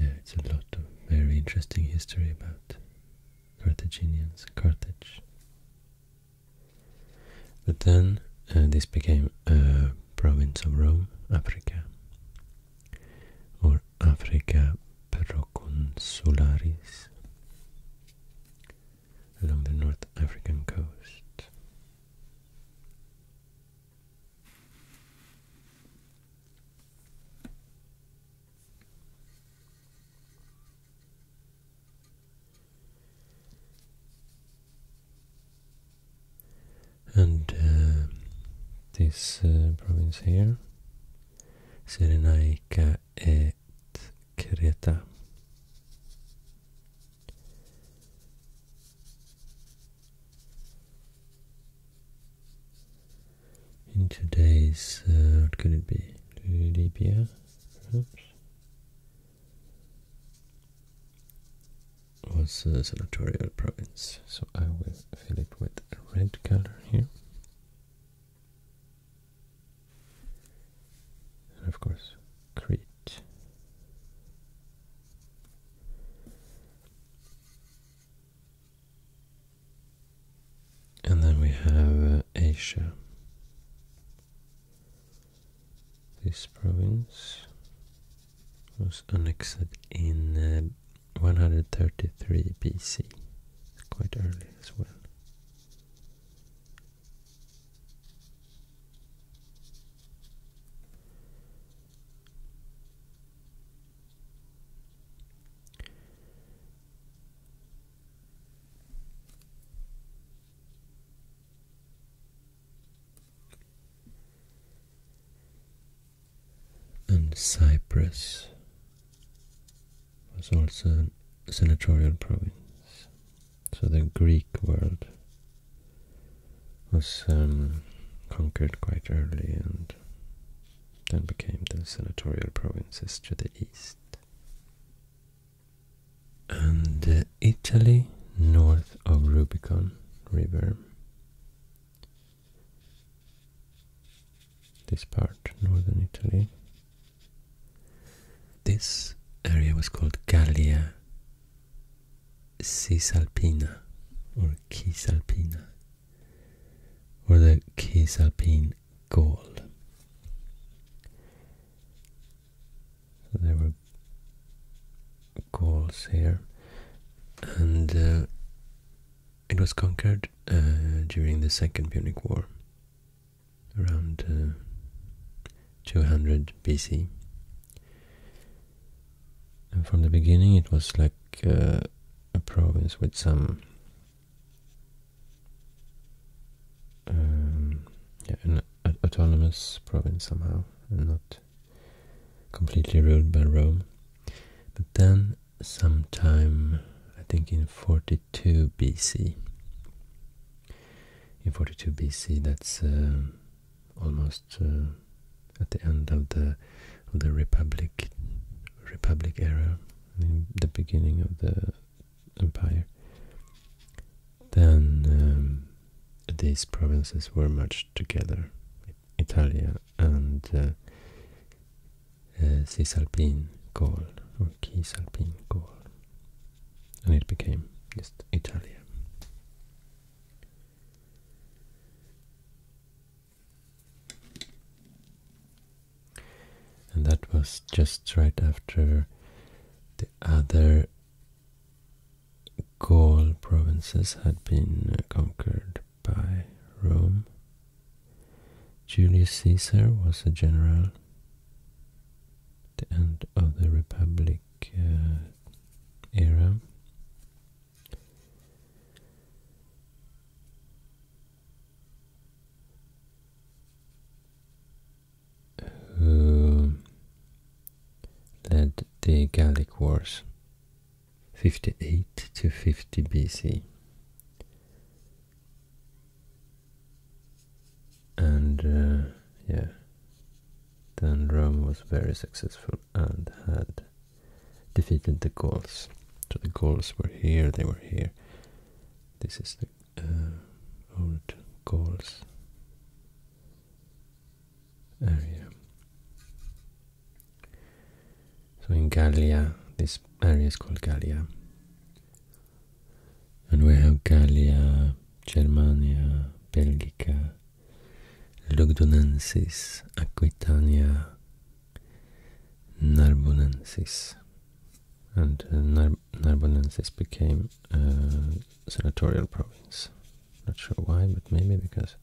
yeah, it's a lot of very interesting history about Carthaginians, Carthage. But then uh, this became a province of Rome, Africa, or Africa Proconsularis, along the North African coast. And uh, this uh, province here, Cyrenaica et Creta in today's, uh, what could it be, Libya, perhaps, was a uh, senatorial province. So I will fill it with a red color here. And of course, Crete. And then we have uh, Asia, this province was annexed in uh, 133 BC, quite early as well. And Cyprus was also a senatorial province. So the Greek world was um, conquered quite early and then became the senatorial provinces to the east. And uh, Italy, north of Rubicon River, this part, northern Italy, this area was called Gallia Cisalpina or Cisalpina or the Cisalpine Gaul. There were Gauls here, and uh, it was conquered uh, during the Second Punic War, around uh, 200 BC. And from the beginning, it was like a province with some um, yeah, an autonomous province somehow, and not completely ruled by Rome. But then, sometime, I think in 42 BC, in 42 BC, that's uh, almost uh, at the end of the of the Republic Republic era, the beginning of the empire, then um, these provinces were merged together, Italia and uh, uh, Cisalpine Gaul, or Cisalpine Gaul, and it became just Italia. And that was just right after the other Gaul provinces had been uh, conquered by Rome. Julius Caesar was a general at the end of the Republic uh, era who um, led the Gallic Wars 58 to 50 BC. And uh, yeah, then Rome was very successful and had defeated the Gauls. So the Gauls were here, they were here, this is the uh, old Gauls area. So in Gallia, this area is called Gallia. And we have Gallia, Germania, Belgica, Lugdunensis, Aquitania, Narbonensis and uh, Narbonensis became a uh, senatorial province. Not sure why, but maybe because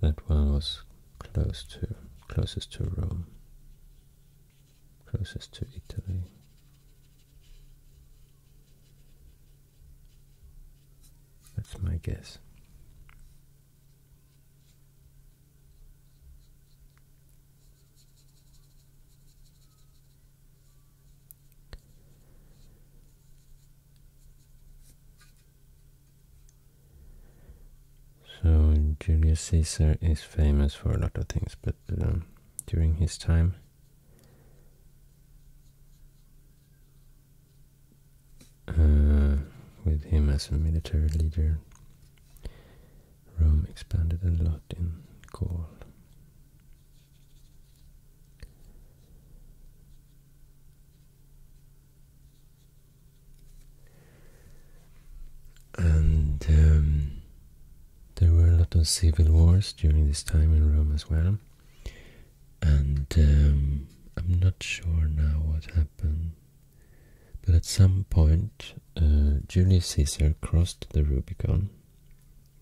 that one was closest to Rome, closest to Italy. That's my guess. So Julius Caesar is famous for a lot of things, but um, during his time uh, with him as a military leader, Rome expanded a lot in Gaul. And um, there were a lot of civil wars during this time in Rome as well. And um, I'm not sure now what happened but at some point, uh, Julius Caesar crossed the Rubicon,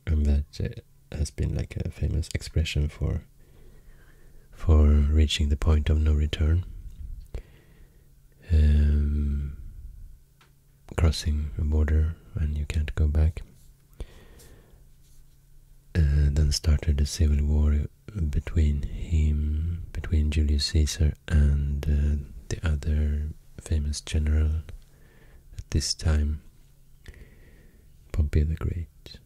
and that uh, has been like a famous expression for for reaching the point of no return, um, crossing a border and you can't go back. Uh, then started the civil war between him, between Julius Caesar and uh, the other famous general at this time, Pompey the Great.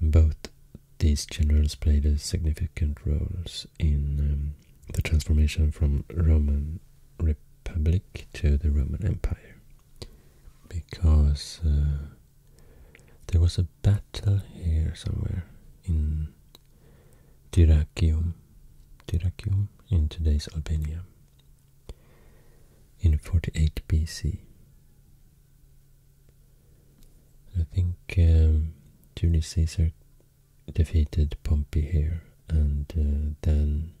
Both these generals played a significant roles in um, the transformation from Roman Republic to the Roman Empire because uh, there was a battle here somewhere in Dyrrachium, Dyrrachium in today's Albania in 48 BC. I think um, Julius Caesar defeated Pompey here and uh, then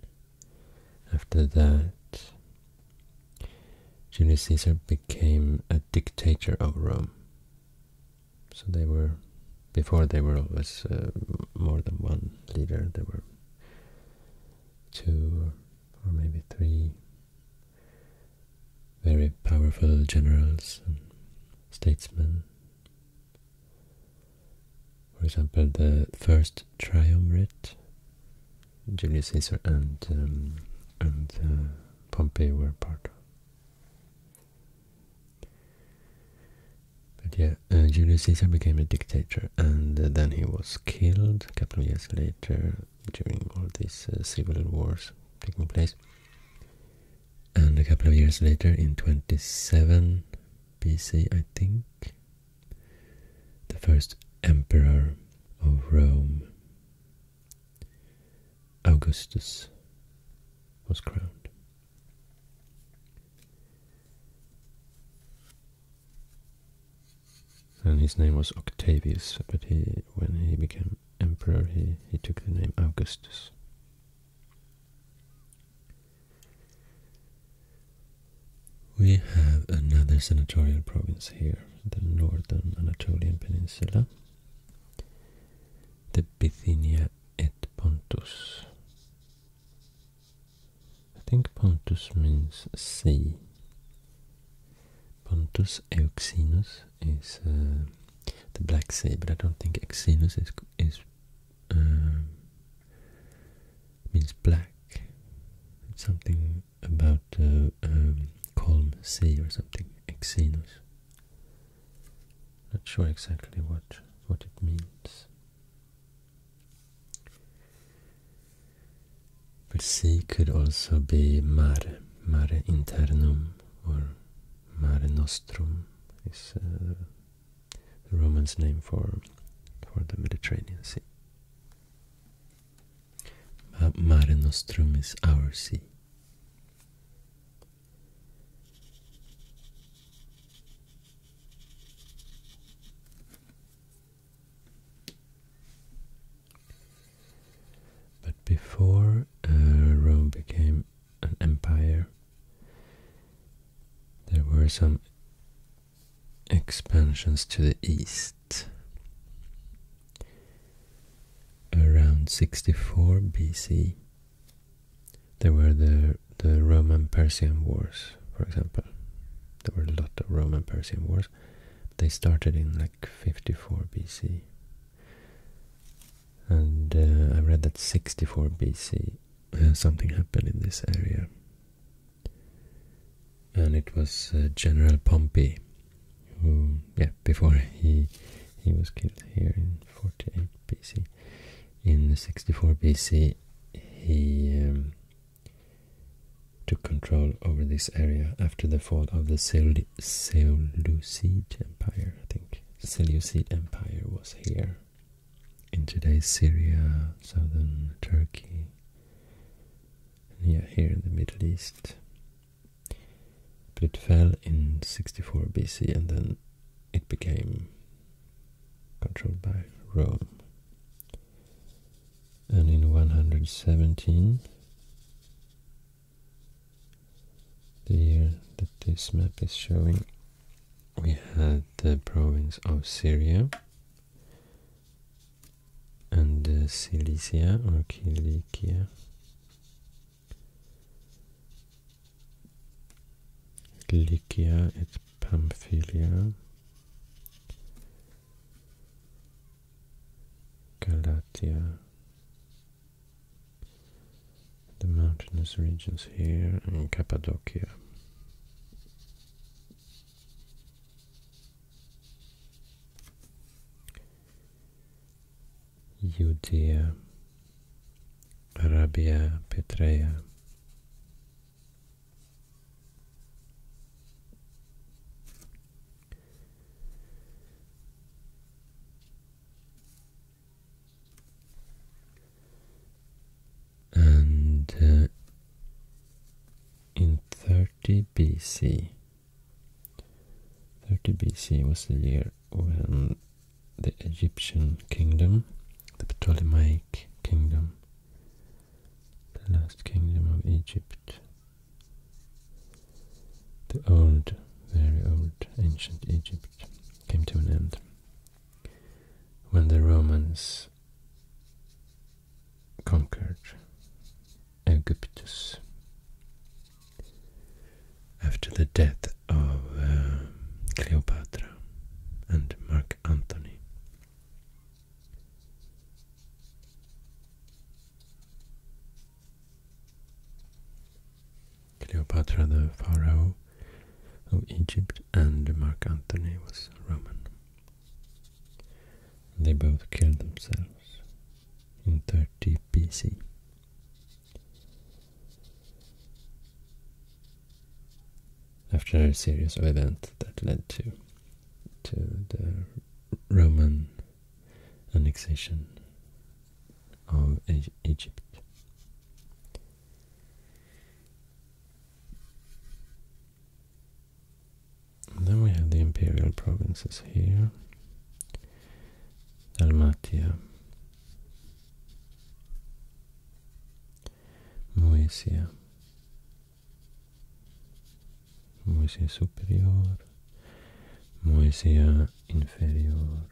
after that Julius Caesar became a dictator of Rome so they were, before they were always more than one leader, there were two or maybe three very powerful generals and statesmen. For example, the first triumvirate, Julius Caesar and um, and uh, Pompey were part of. But yeah, uh, Julius Caesar became a dictator, and uh, then he was killed a couple of years later during all these uh, civil wars taking place. And a couple of years later, in 27 BC, I think, the first emperor of Rome Augustus was crowned. And his name was Octavius, but he, when he became emperor, he, he took the name Augustus. We have another senatorial province here, the northern Anatolian peninsula, the Bithynia et Pontus. I think Pontus means sea. Pontus Euxinus is uh, the Black Sea, but I don't think Euxinus is, is um, means black. something about uh, um, calm sea or something. Euxinus. Not sure exactly what what it means. But sea could also be mare, mare internum, or mare nostrum is uh, the Roman's name for for the Mediterranean Sea. Mare Nostrum is our sea. But before uh, Rome became an empire, there were some expansions to the east. Around 64 BC, there were the, the Roman-Persian Wars, for example. There were a lot of Roman-Persian Wars. They started in like 54 BC. And uh, I read that 64 BC uh, something happened in this area. And it was uh, General Pompey who, yeah, before he he was killed here in 48 BC. In 64 BC, he um, took control over this area after the fall of the Seleucid Empire, I think. The Seleucid Empire was here in today's Syria, southern Turkey, yeah, here in the Middle East. But it fell in 64 BC and then it became controlled by Rome. And in 117, the year that this map is showing, we had the province of Syria and uh, Cilicia or Cilicia Lycia, it's Pamphylia. Galatia, the mountainous regions here, and Cappadocia. Judea, Arabia Petrea. And uh, in 30 BC, 30 BC was the year when the Egyptian kingdom, the Ptolemaic kingdom, the last kingdom of Egypt, the old, very old, ancient Egypt came to an end. When the Romans conquered Egyptus after the death of Cleopatra um, and Mark Antony, Cleopatra the pharaoh of Egypt and Mark Antony was Roman. They both killed themselves in 30 BC. After a series of events that led to to the Roman annexation of Egypt. then we have the imperial provinces here. Dalmatia, Moesia. Moesia superior. Moesia inferior.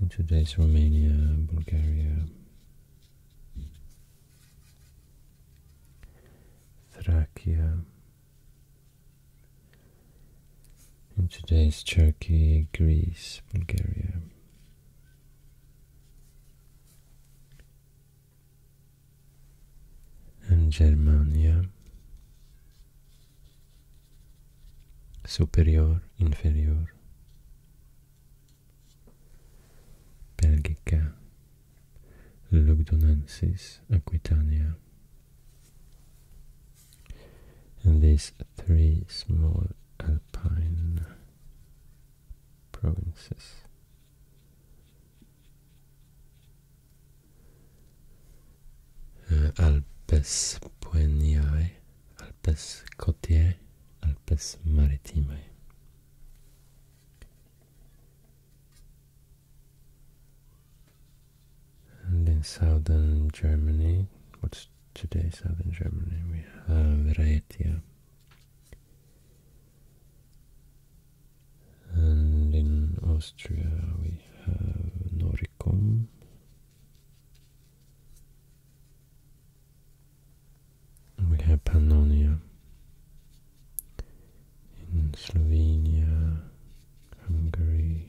In today's Romania, Bulgaria, Thracia, in today's Turkey, Greece, Bulgaria. And Germany. superior, inferior, Belgica, Lugdunensis, Aquitania, and these three small alpine provinces. Uh, Alpes Pueniae, Alpes Cotiae, Alpes Maritimae. And in southern Germany, what's today southern Germany, we have Raetia. And in Austria we have Noricum. We have Pannonia. In Slovenia, Hungary,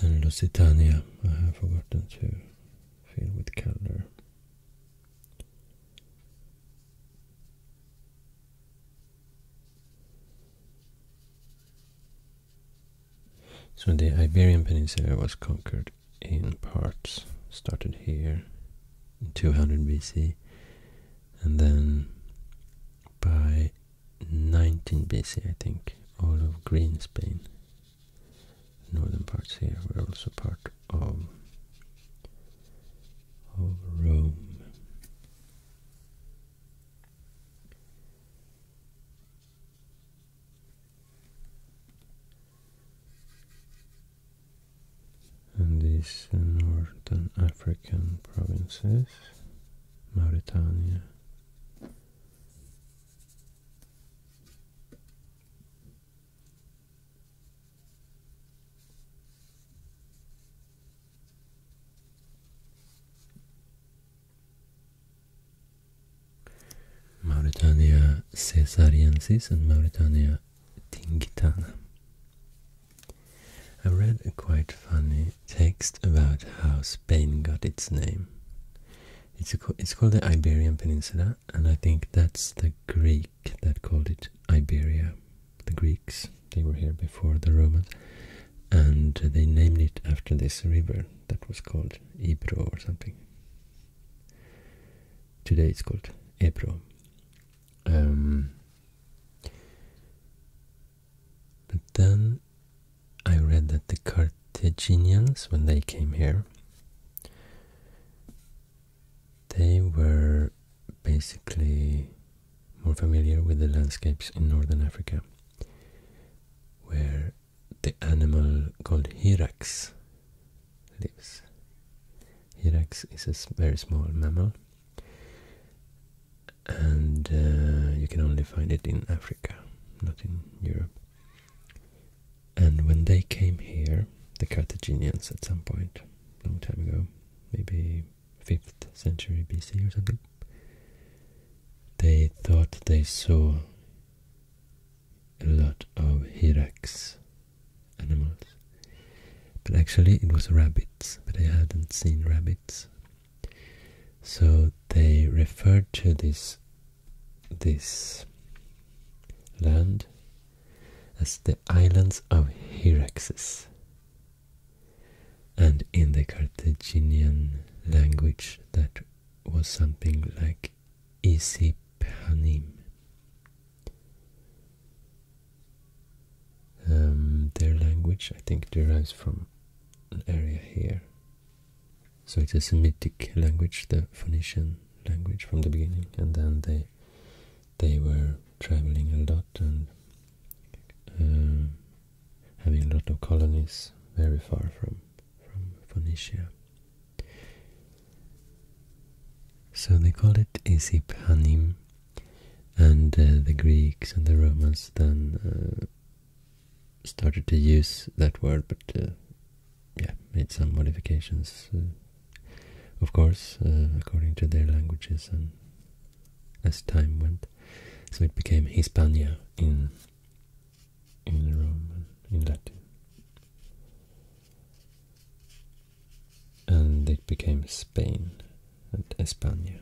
and Lusitania. I have forgotten to fill with color. So the Iberian Peninsula was conquered in parts, started here 200 BC and then by 19 BC I think all of Green Spain northern parts here were also part of um, of Rome. And these northern African provinces, Mauritania, Mauritania Caesariensis and Mauritania tingitana. I read a quite funny text about how Spain got its name. It's it's called the Iberian Peninsula, and I think that's the Greek that called it Iberia. The Greeks they were here before the Romans, and they named it after this river that was called Ebro or something. Today it's called Ebro. Um, but then I read that the Carthaginians, when they came here, they were basically more familiar with the landscapes in northern Africa, where the animal called hirax lives. Hirax is a very small mammal, and uh, you can only find it in Africa, not in Europe. And when they came here, the Carthaginians at some point, long time ago, maybe 5th century BC or something, they thought they saw a lot of hyrax animals. But actually it was rabbits, but they hadn't seen rabbits. So they referred to this this land as the islands of Hyraxes. And in the Carthaginian language, that was something like Isiphanim. Um, their language, I think, derives from an area here so it's a Semitic language, the Phoenician language from the beginning, and then they they were traveling a lot and um, having a lot of colonies very far from from Phoenicia. So they call it Isiphanim, and uh, the Greeks and the Romans then uh, started to use that word, but uh, yeah, made some modifications, uh, of course, uh, according to their languages and as time went. So it became Hispania in in Rome, in Latin, and it became Spain and España.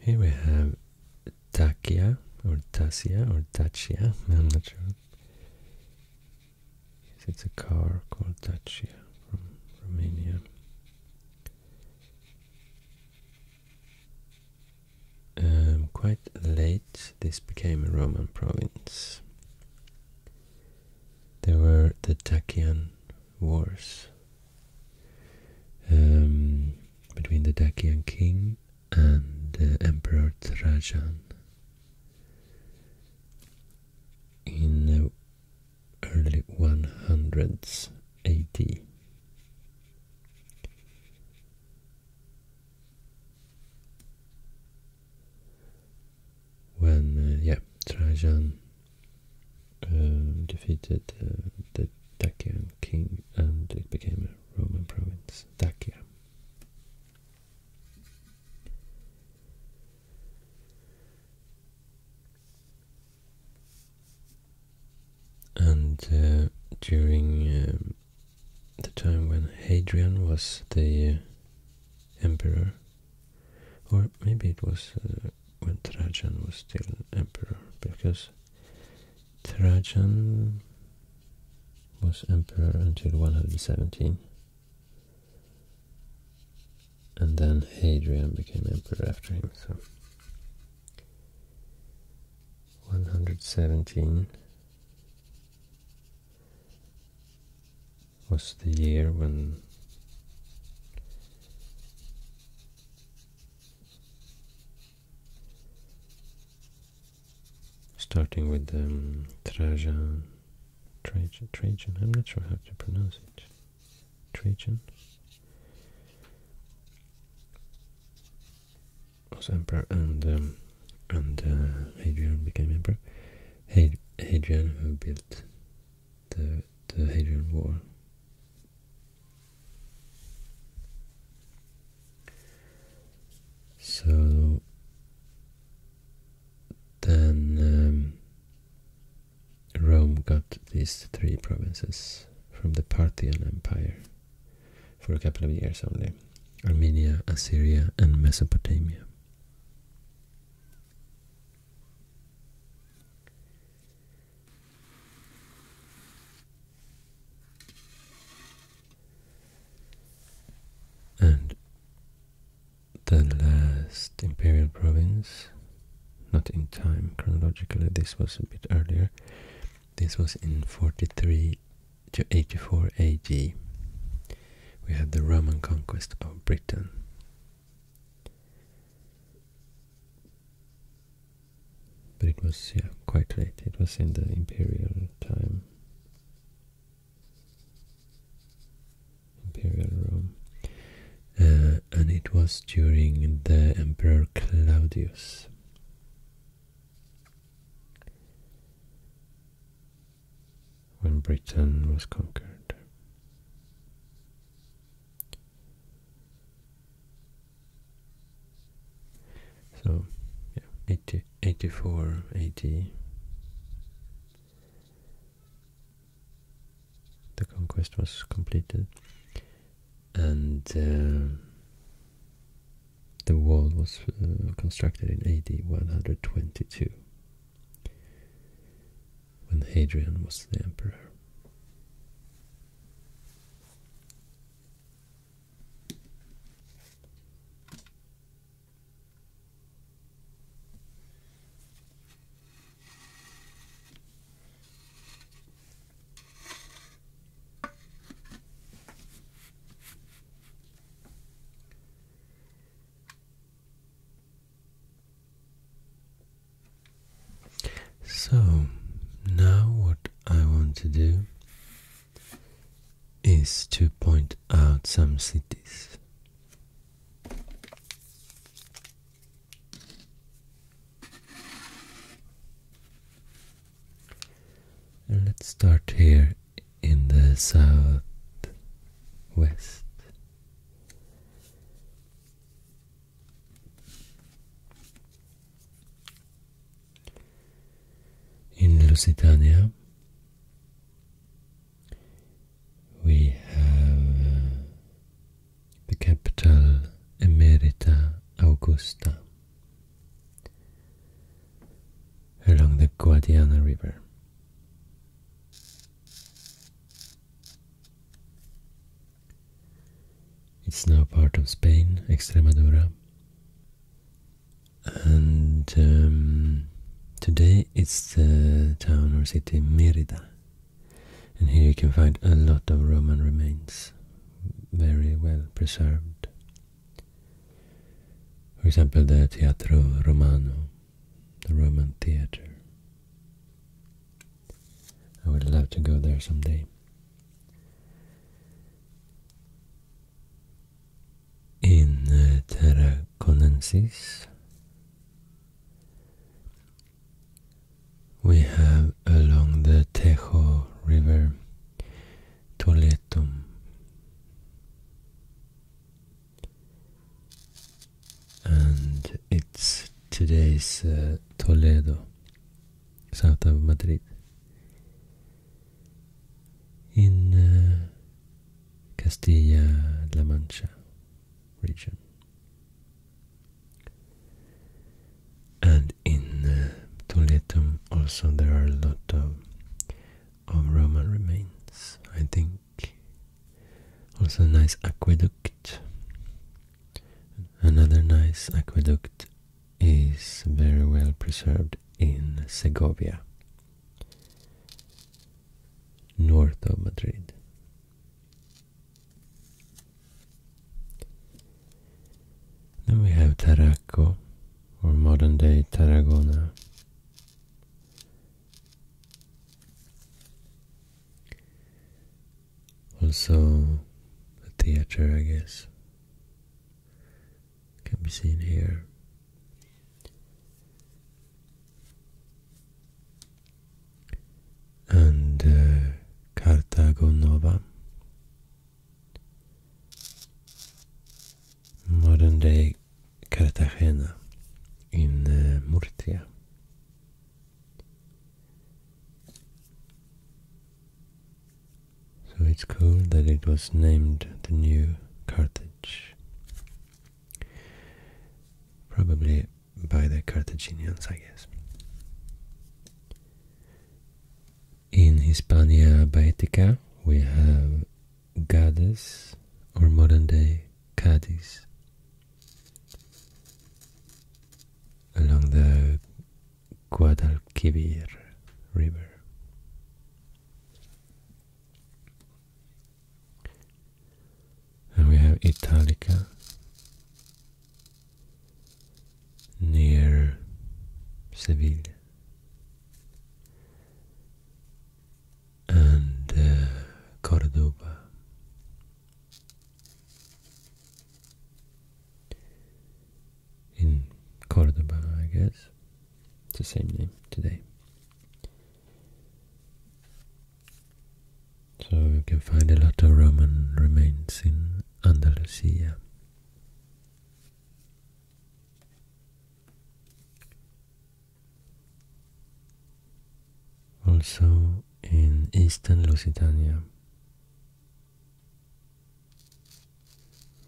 Here we have Dacia, or Tasia or Dacia, [laughs] I'm not sure. It's a car called Dacia from Romania. Um, quite late this became a Roman province. There were the Dacian Wars um, between the Dacian king and uh, Emperor Trajan. In the early 100s AD when uh, yeah Trajan um, defeated uh, the Dacian king and it became a Roman province, Dacia. And uh, during um, the time when Hadrian was the uh, emperor, or maybe it was uh, when Trajan was still emperor, because Trajan was emperor until 117, and then Hadrian became emperor after him. So 117 was the year when starting with um, Trajan, Trajan, Trajan, I'm not sure how to pronounce it, Trajan, was emperor and um, and uh, Hadrian became emperor. Had Hadrian who built the the Hadrian Wall. So then um, Rome got these three provinces from the Parthian Empire for a couple of years only. Armenia, Assyria and Mesopotamia. And the last imperial province, not in time chronologically, this was a bit earlier, this was in 43 to 84 AD, we had the Roman conquest of Britain. But it was yeah, quite late, it was in the imperial time. Imperial Rome. Uh, and it was during the Emperor Claudius when Britain was conquered. So, yeah, 84 AD, the conquest was completed, and uh, the wall was uh, constructed in AD 122 when Hadrian was the emperor. So, now what I want to do is to point out some cities. And let's start here in the southwest. In Lusitania, we have the capital Emerita Augusta along the Guadiana River. It's now part of Spain, Extremadura. And um, today it's the town or city Merida. And here you can find a lot of Roman remains, very well preserved. For example, the Teatro Romano, the Roman theater. I would love to go there someday. In uh, we have along the Tejo River Toletum, and it's today's uh, Toledo, south of Madrid. In uh, Castilla-La Mancha region, and in uh, Toledo also there are a lot of of Roman remains, I think. Also a nice aqueduct. Another nice aqueduct is very well preserved in Segovia, north of Madrid. Then we have Taraco, or modern-day Tarragona, also, the theater, I guess, can be seen here. And uh, modern day Cartagena in uh, Murcia. So it's cool that it was named the new Carthage. Probably by the Carthaginians, I guess. In Hispania Baetica, we have Gades or modern day Cadiz. Along the Guadalquivir River. And we have Italica near Seville and uh, Cordoba. In Cordoba, I guess. It's the same name today. So you can find a lot of Roman remains in Andalusia also in eastern Lusitania.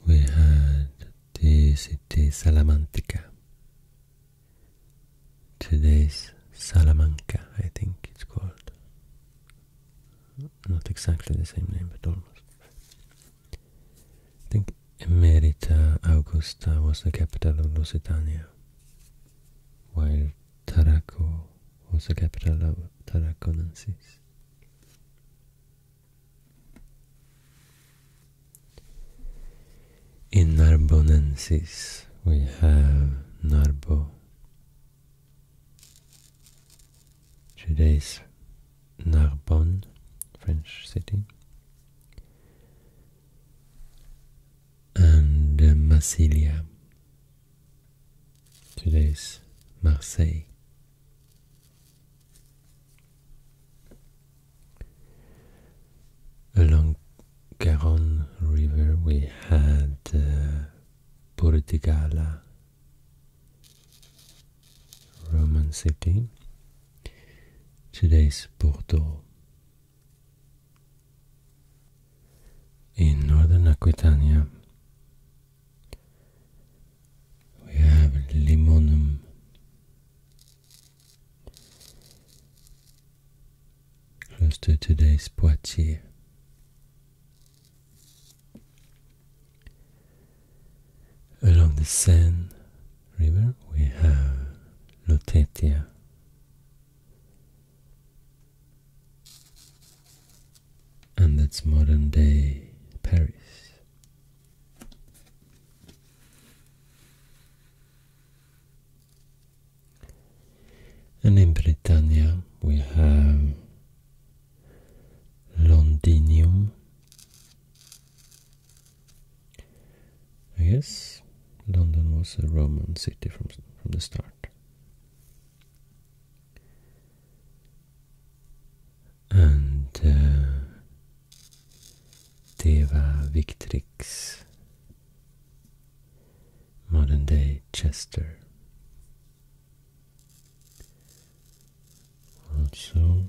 We had the city Salamanca, today's Salamanca, I think it's called. Not exactly the same name, but almost. I think Emerita Augusta was the capital of Lusitania, while Taraco was the capital of Tarraconensis. In Narbonensis we have Narbo. Today's Narbonne, French city and uh, Massilia. Today's Marseille. Along Garonne River, we had uh, Portigala, uh, Roman city, Today's Bordeaux. In northern Aquitania, we have Limonum. Close to today's Poitiers. Along the Seine, river we have Lotetia, And that's modern day Paris. And in Britannia we have Londinium I guess London was a Roman city from from the start. And uh, Deva Victrix, modern day Chester. Also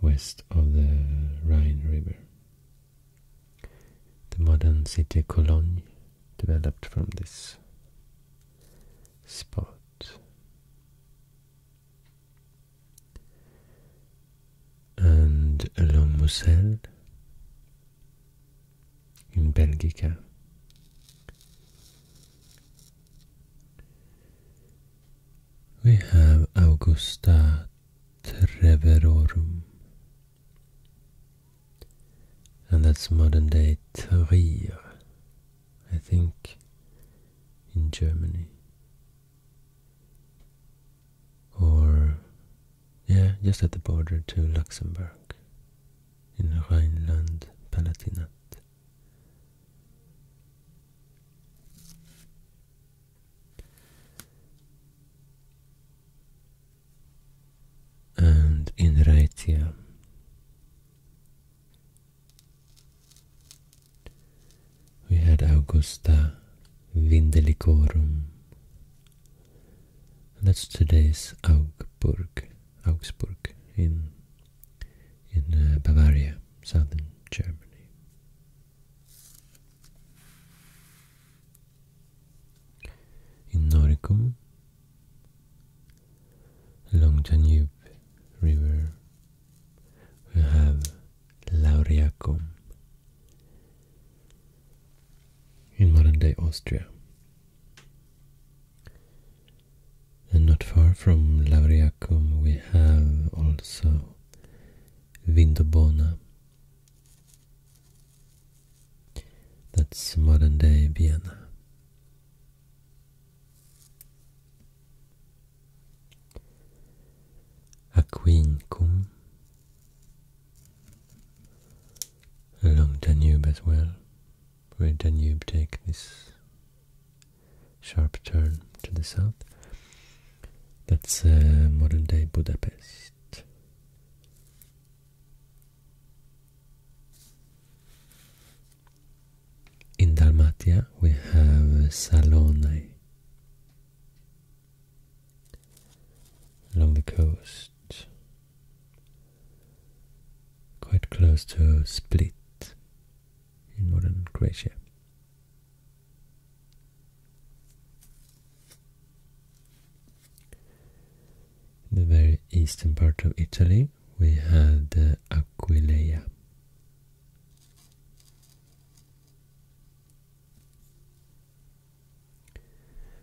west of the Rhine River. The modern city Cologne developed from this spot. And along Moselle in Belgica. We have Augusta Treverorum. And that's modern day Trier, I think, in Germany. Or, yeah, just at the border to Luxembourg, in Rhineland Palatinate and in Raetia, we had Augusta Vindelicorum. That's today's Augsburg, Augsburg in in uh, Bavaria, southern Germany. In Noricum, along the Danube River, we have Lauriacum in modern-day Austria. And not far from Lauriacum we have also Vindobona that's modern day Vienna. Aquincum, along the Danube as well, where the Danube takes this sharp turn to the south. That's uh, modern day Budapest. In Dalmatia we have Salone along the coast, quite close to Split in modern Croatia. In the very eastern part of Italy, we had Aquileia.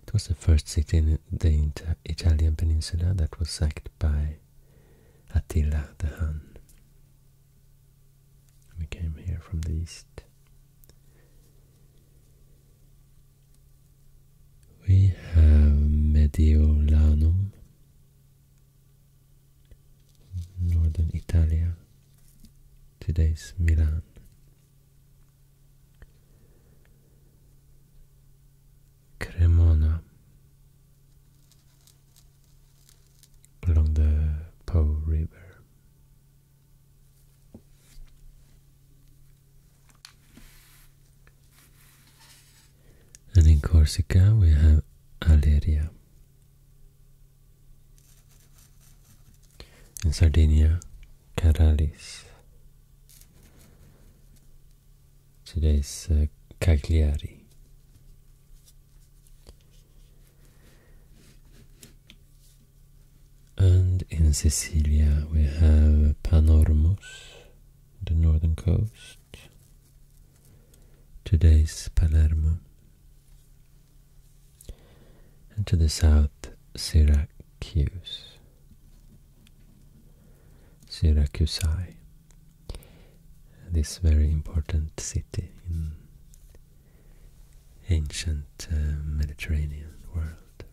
It was the first city in the Italian peninsula that was sacked by Attila the Hun. We came here from the east. We have Mediolanum, northern Italy, today's Milan. Cremona, along the Po River, and in Corsica we have Aleria. In Sardinia, Caralis. Today's uh, Cagliari. And in Sicilia we have Panormus, the northern coast, today's Palermo. And to the south, Syracuse, Syracusae, this very important city in ancient uh, Mediterranean world.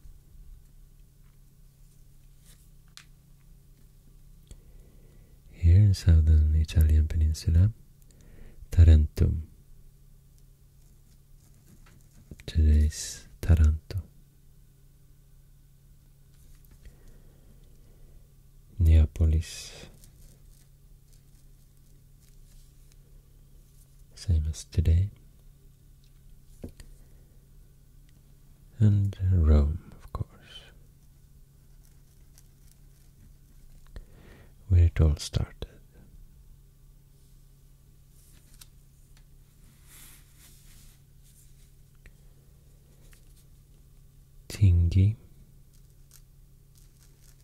Here in southern Italian peninsula, Tarentum, today's Taranto. Neapolis same as today. And Rome, of course, where it all started. Tingi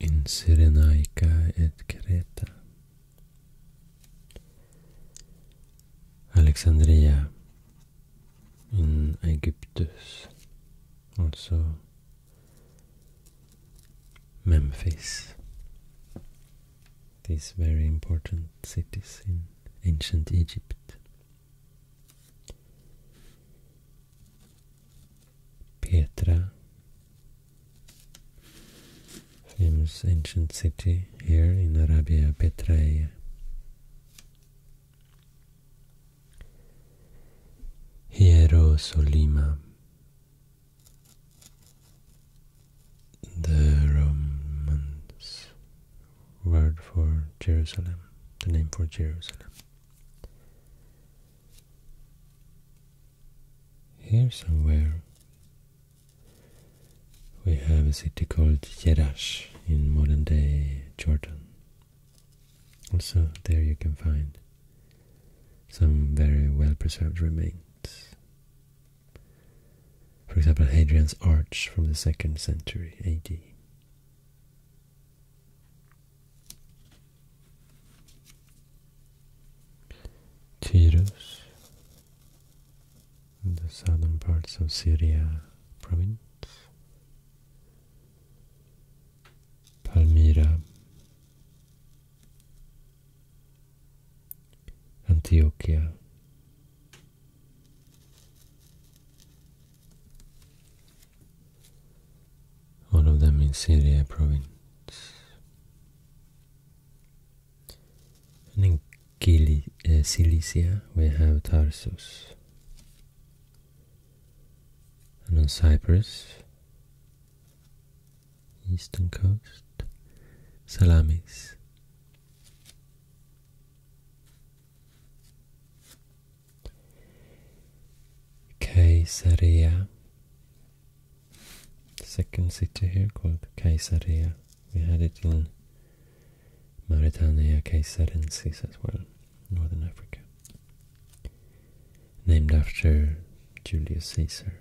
in Cyrenaica et Creta. Alexandria in Aegyptus, also Memphis. These very important cities in ancient Egypt. Pietra, famous ancient city here in Arabia Petraea. Hierosolima, the Romans word for Jerusalem, the name for Jerusalem. Here somewhere we have a city called Jerash in modern day Jordan. Also there you can find some very well preserved remains. For example, Hadrian's Arch from the 2nd century AD. Tirus, in the southern parts of Syria province. Palmyra, Antioquia, all of them in Syria province. And in uh, Cilicia we have Tarsus. And on Cyprus, eastern coast, Salamis. Caesarea, second city here called Caesarea. We had it in Mauritania Caesarensis as well, northern Africa. Named after Julius Caesar,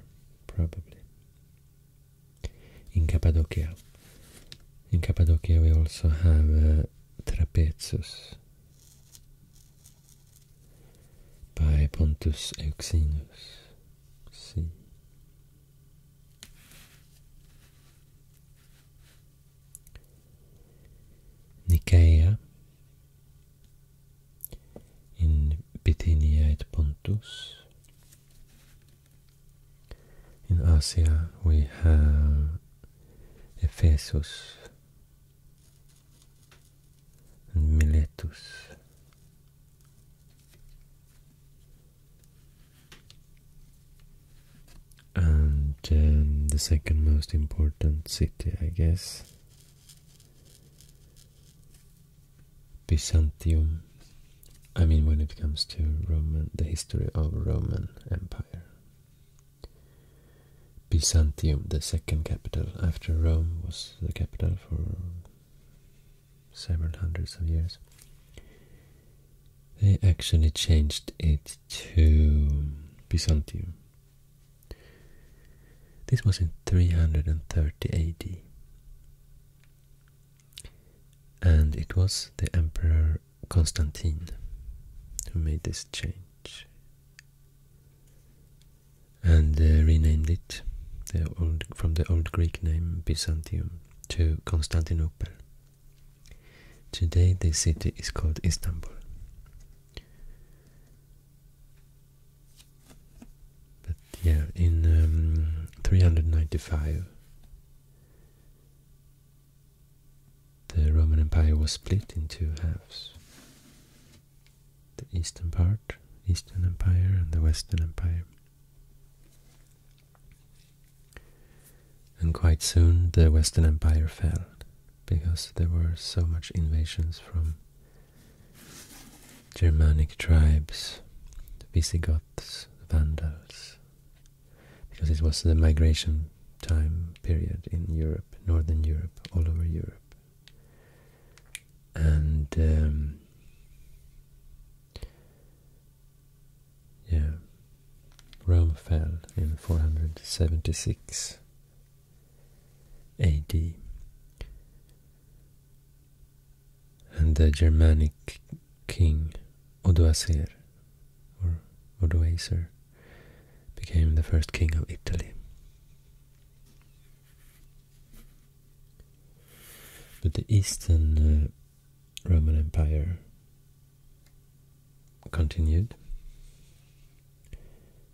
probably. In Cappadocia. In Cappadocia we also have uh, Trapezus, by Pontus Euxinus. C. Nicaea in Bithynia at Pontus. In Asia we have Ephesus and Miletus. And um, the second most important city, I guess, Byzantium. I mean, when it comes to Roman, the history of Roman Empire. Byzantium, the second capital after Rome, was the capital for several hundreds of years. They actually changed it to Byzantium. This was in 330 AD. And it was the Emperor Constantine who made this change and renamed it from the old Greek name Byzantium to Constantinople. Today the city is called Istanbul. But yeah, in um, 395 the Roman Empire was split in two halves. The eastern part, Eastern Empire, and the Western Empire. And quite soon the Western Empire fell because there were so much invasions from Germanic tribes, the Visigoths, Vandals, because it was the migration time period in Europe, Northern Europe, all over Europe. And um, yeah, Rome fell in 476 AD. And the Germanic king Odoacer, or Odoacer, became the first king of Italy. But the Eastern uh, Roman Empire continued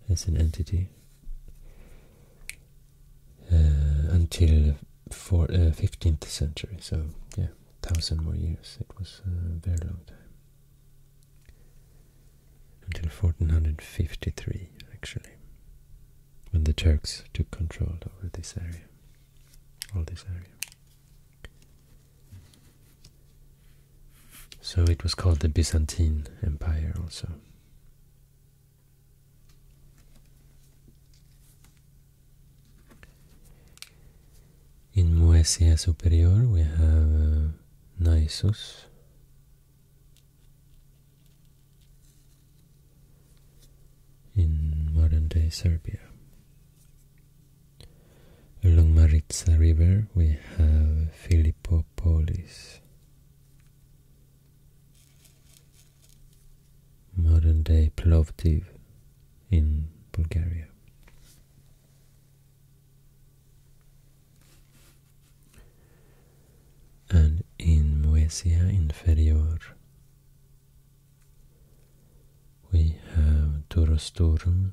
as an entity uh, until for, 15th uh, century, so yeah, thousand more years. It was a very long time until 1453 actually, when the Turks took control over this area, all this area. So it was called the Byzantine Empire also. In Muesia Superior we have uh, Naissus, in modern-day Serbia. Along Maritsa River we have Philippopolis. Modern-day Plovdiv in Bulgaria and in Moesia Inferior we have Torostorum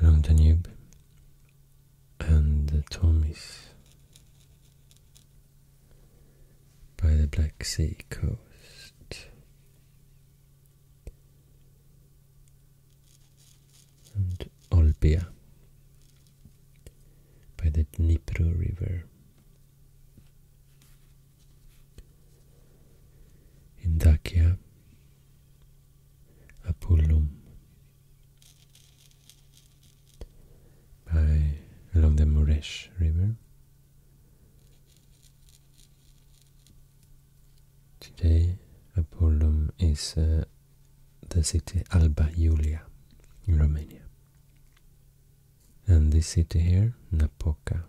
along the Nub and the Tomis by the Black Sea coast and Olbia by the Dnipro River. In Dacia, Apulum by along the Muresh River Today Apollon is uh, the city Alba Iulia in Romania. And this city here, Napoca.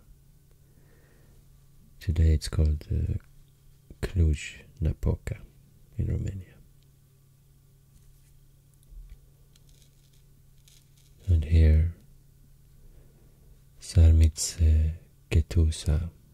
Today it's called uh, Cluj-Napoca in Romania. And here Sarmitz Ketusa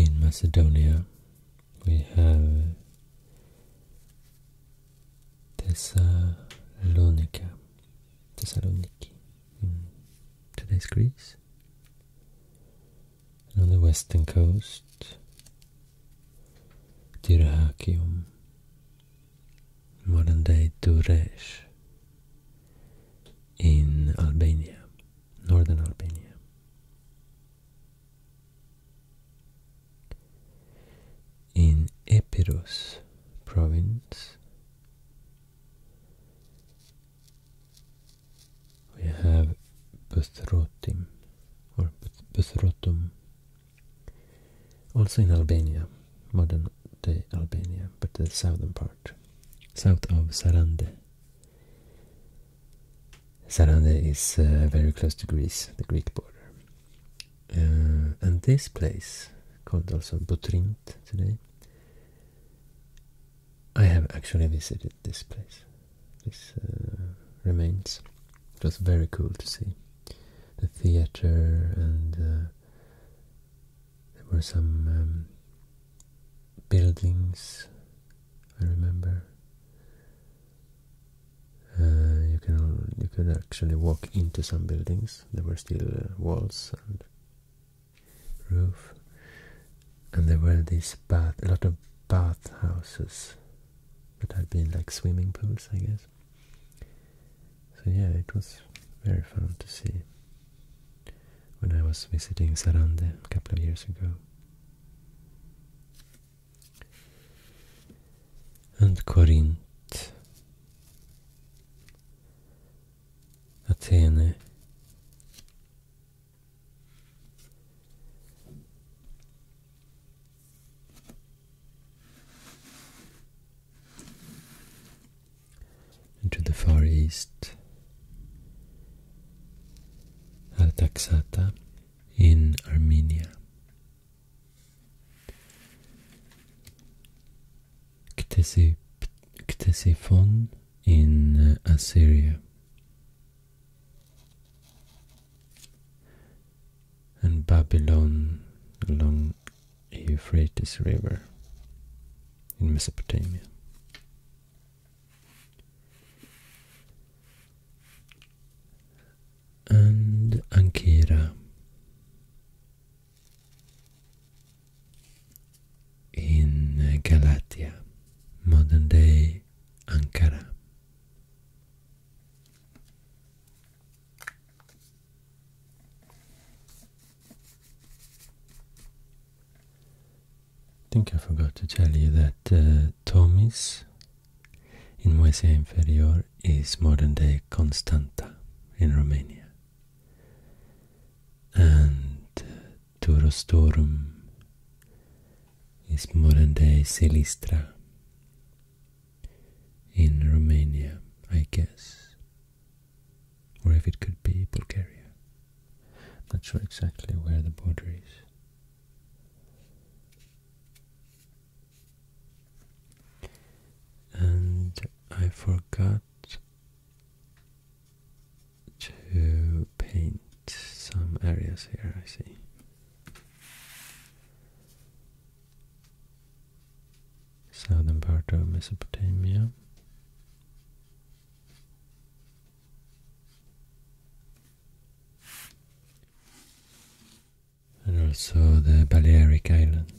in Macedonia we have Thessalonica, Thessaloniki today's Greece. And on the western coast, Dyrrhachium, modern day Duresh in Albania, northern Albania in Epirus province we have Buthrotim or Buthrotum also in Albania, modern day Albania, but the southern part, south of Sarande Sarande is uh, very close to Greece, the Greek border. Uh, and this place, called also Butrint today, I have actually visited this place, this uh, remains. It was very cool to see the theater and there were some um, buildings I remember. Uh, you can you could actually walk into some buildings. There were still uh, walls and roof, and there were these bath a lot of bathhouses that had been like swimming pools, I guess. So yeah, it was very fun to see when I was visiting Sarande a couple of years ago and Corinth, Athene, and to the far east, Artaxata in Armenia. Ctesiphon in uh, Assyria. And Babylon along Euphrates River in Mesopotamia and Ankara in Galatia, modern day Ankara. I think I forgot to tell you that uh, Tomis in Moesia Inferior is modern day Constanta in Romania. And uh, Turostorum is modern day Silistra in Romania, I guess. Or if it could be Bulgaria. Not sure exactly where the border is. And I forgot to paint some areas here, I see. Southern part of Mesopotamia and also the Balearic Islands.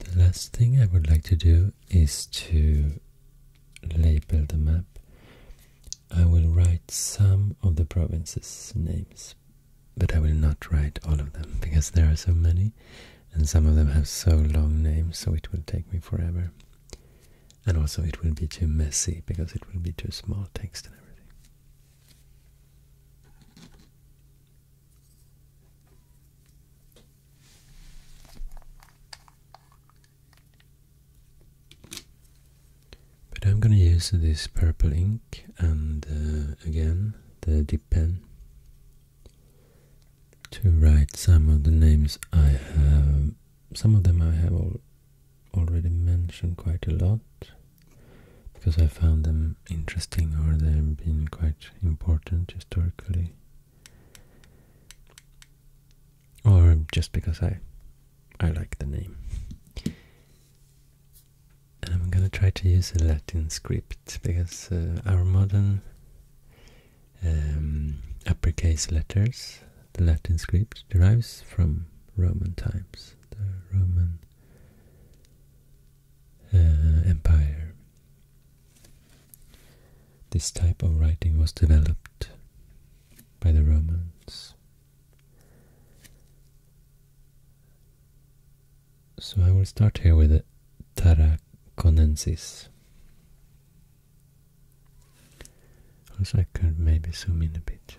The last thing I would like to do is to label the map. I will write some of the provinces' names, but I will not write all of them because there are so many and some of them have so long names so it will take me forever. And also it will be too messy because it will be too small text and everything. But I'm gonna use this purple ink and uh, again the dip pen to write some of the names I have. Some of them I have already mentioned quite a lot because I found them interesting or they've been quite important historically or just because I I like the name. I'm gonna try to use a Latin script because uh, our modern um, uppercase letters, the Latin script, derives from Roman times, the Roman uh, Empire. This type of writing was developed by the Romans. So I will start here with the Tarraconensis. Also I could maybe zoom in a bit.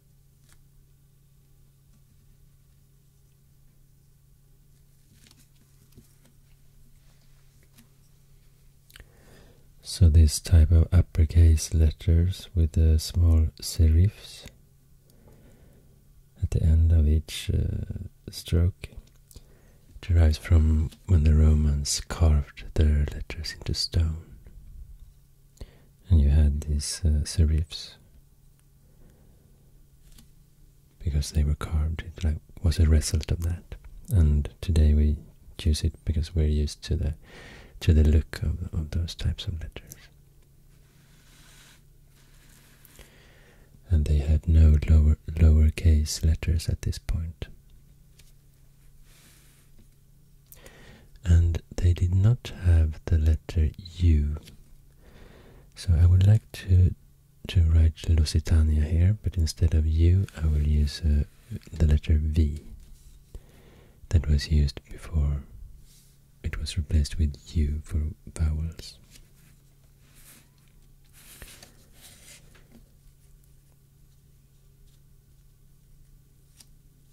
So this type of uppercase letters with the small serifs at the end of each uh, stroke derives from when the Romans carved their letters into stone. And you had these uh, serifs because they were carved. It was a result of that. And today we use it because we're used to the to the look of, of those types of letters. And they had no lower lowercase letters at this point. And they did not have the letter U so I would like to to write Lusitania here, but instead of U, I will use uh, the letter V that was used before. It was replaced with U for vowels.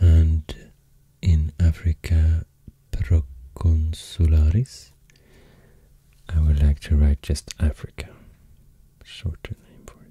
And in Africa Proconsularis, I would like to write just Africa, shorter name for it.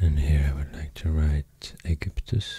And here I would like to write Egyptus.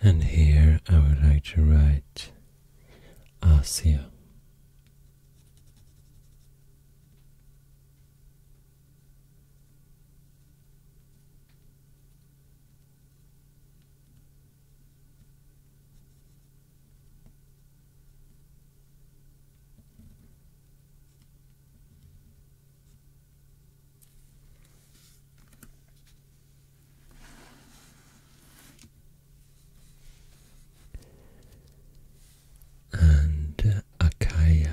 And here I would like to write Asia and uh, Akaya.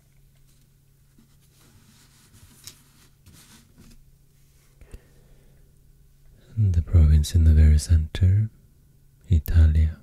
the province in the very center, Italia.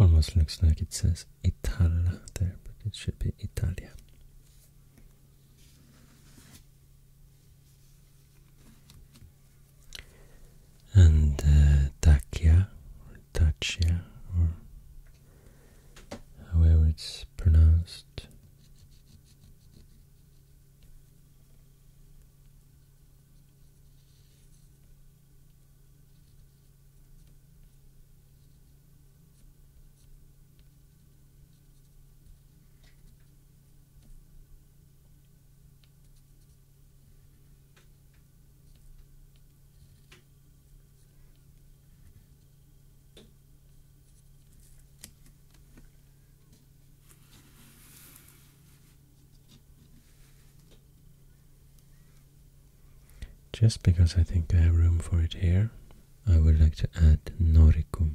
Almost looks like it says Italia there, but it should be Italia. And uh, Dacia, or Dacia, or however it's pronounced. Just because I think I have room for it here, I would like to add Noricum.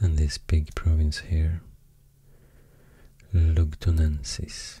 And this big province here, Lugdunensis.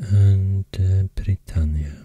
and uh, Britannia.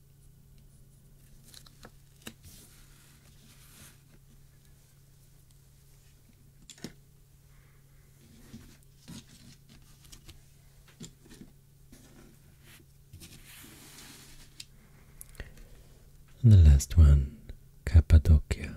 And the last one, Cappadocia.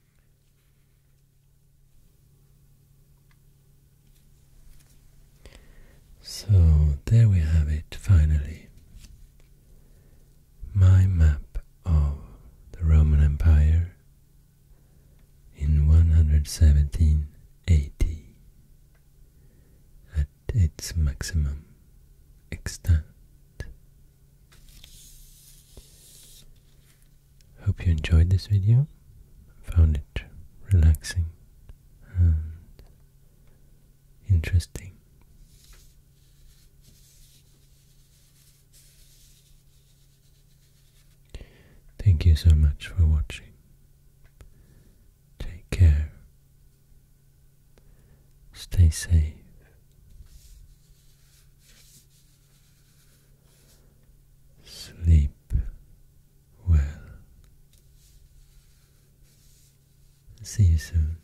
So there we have it finally. My map of the Roman Empire in 117 at its maximum extent. Hope you enjoyed this video, found it relaxing and interesting. Thank you so much for watching. Take care. Stay safe. Sleep well. See you soon.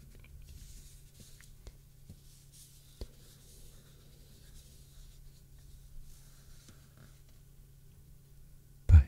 Bye.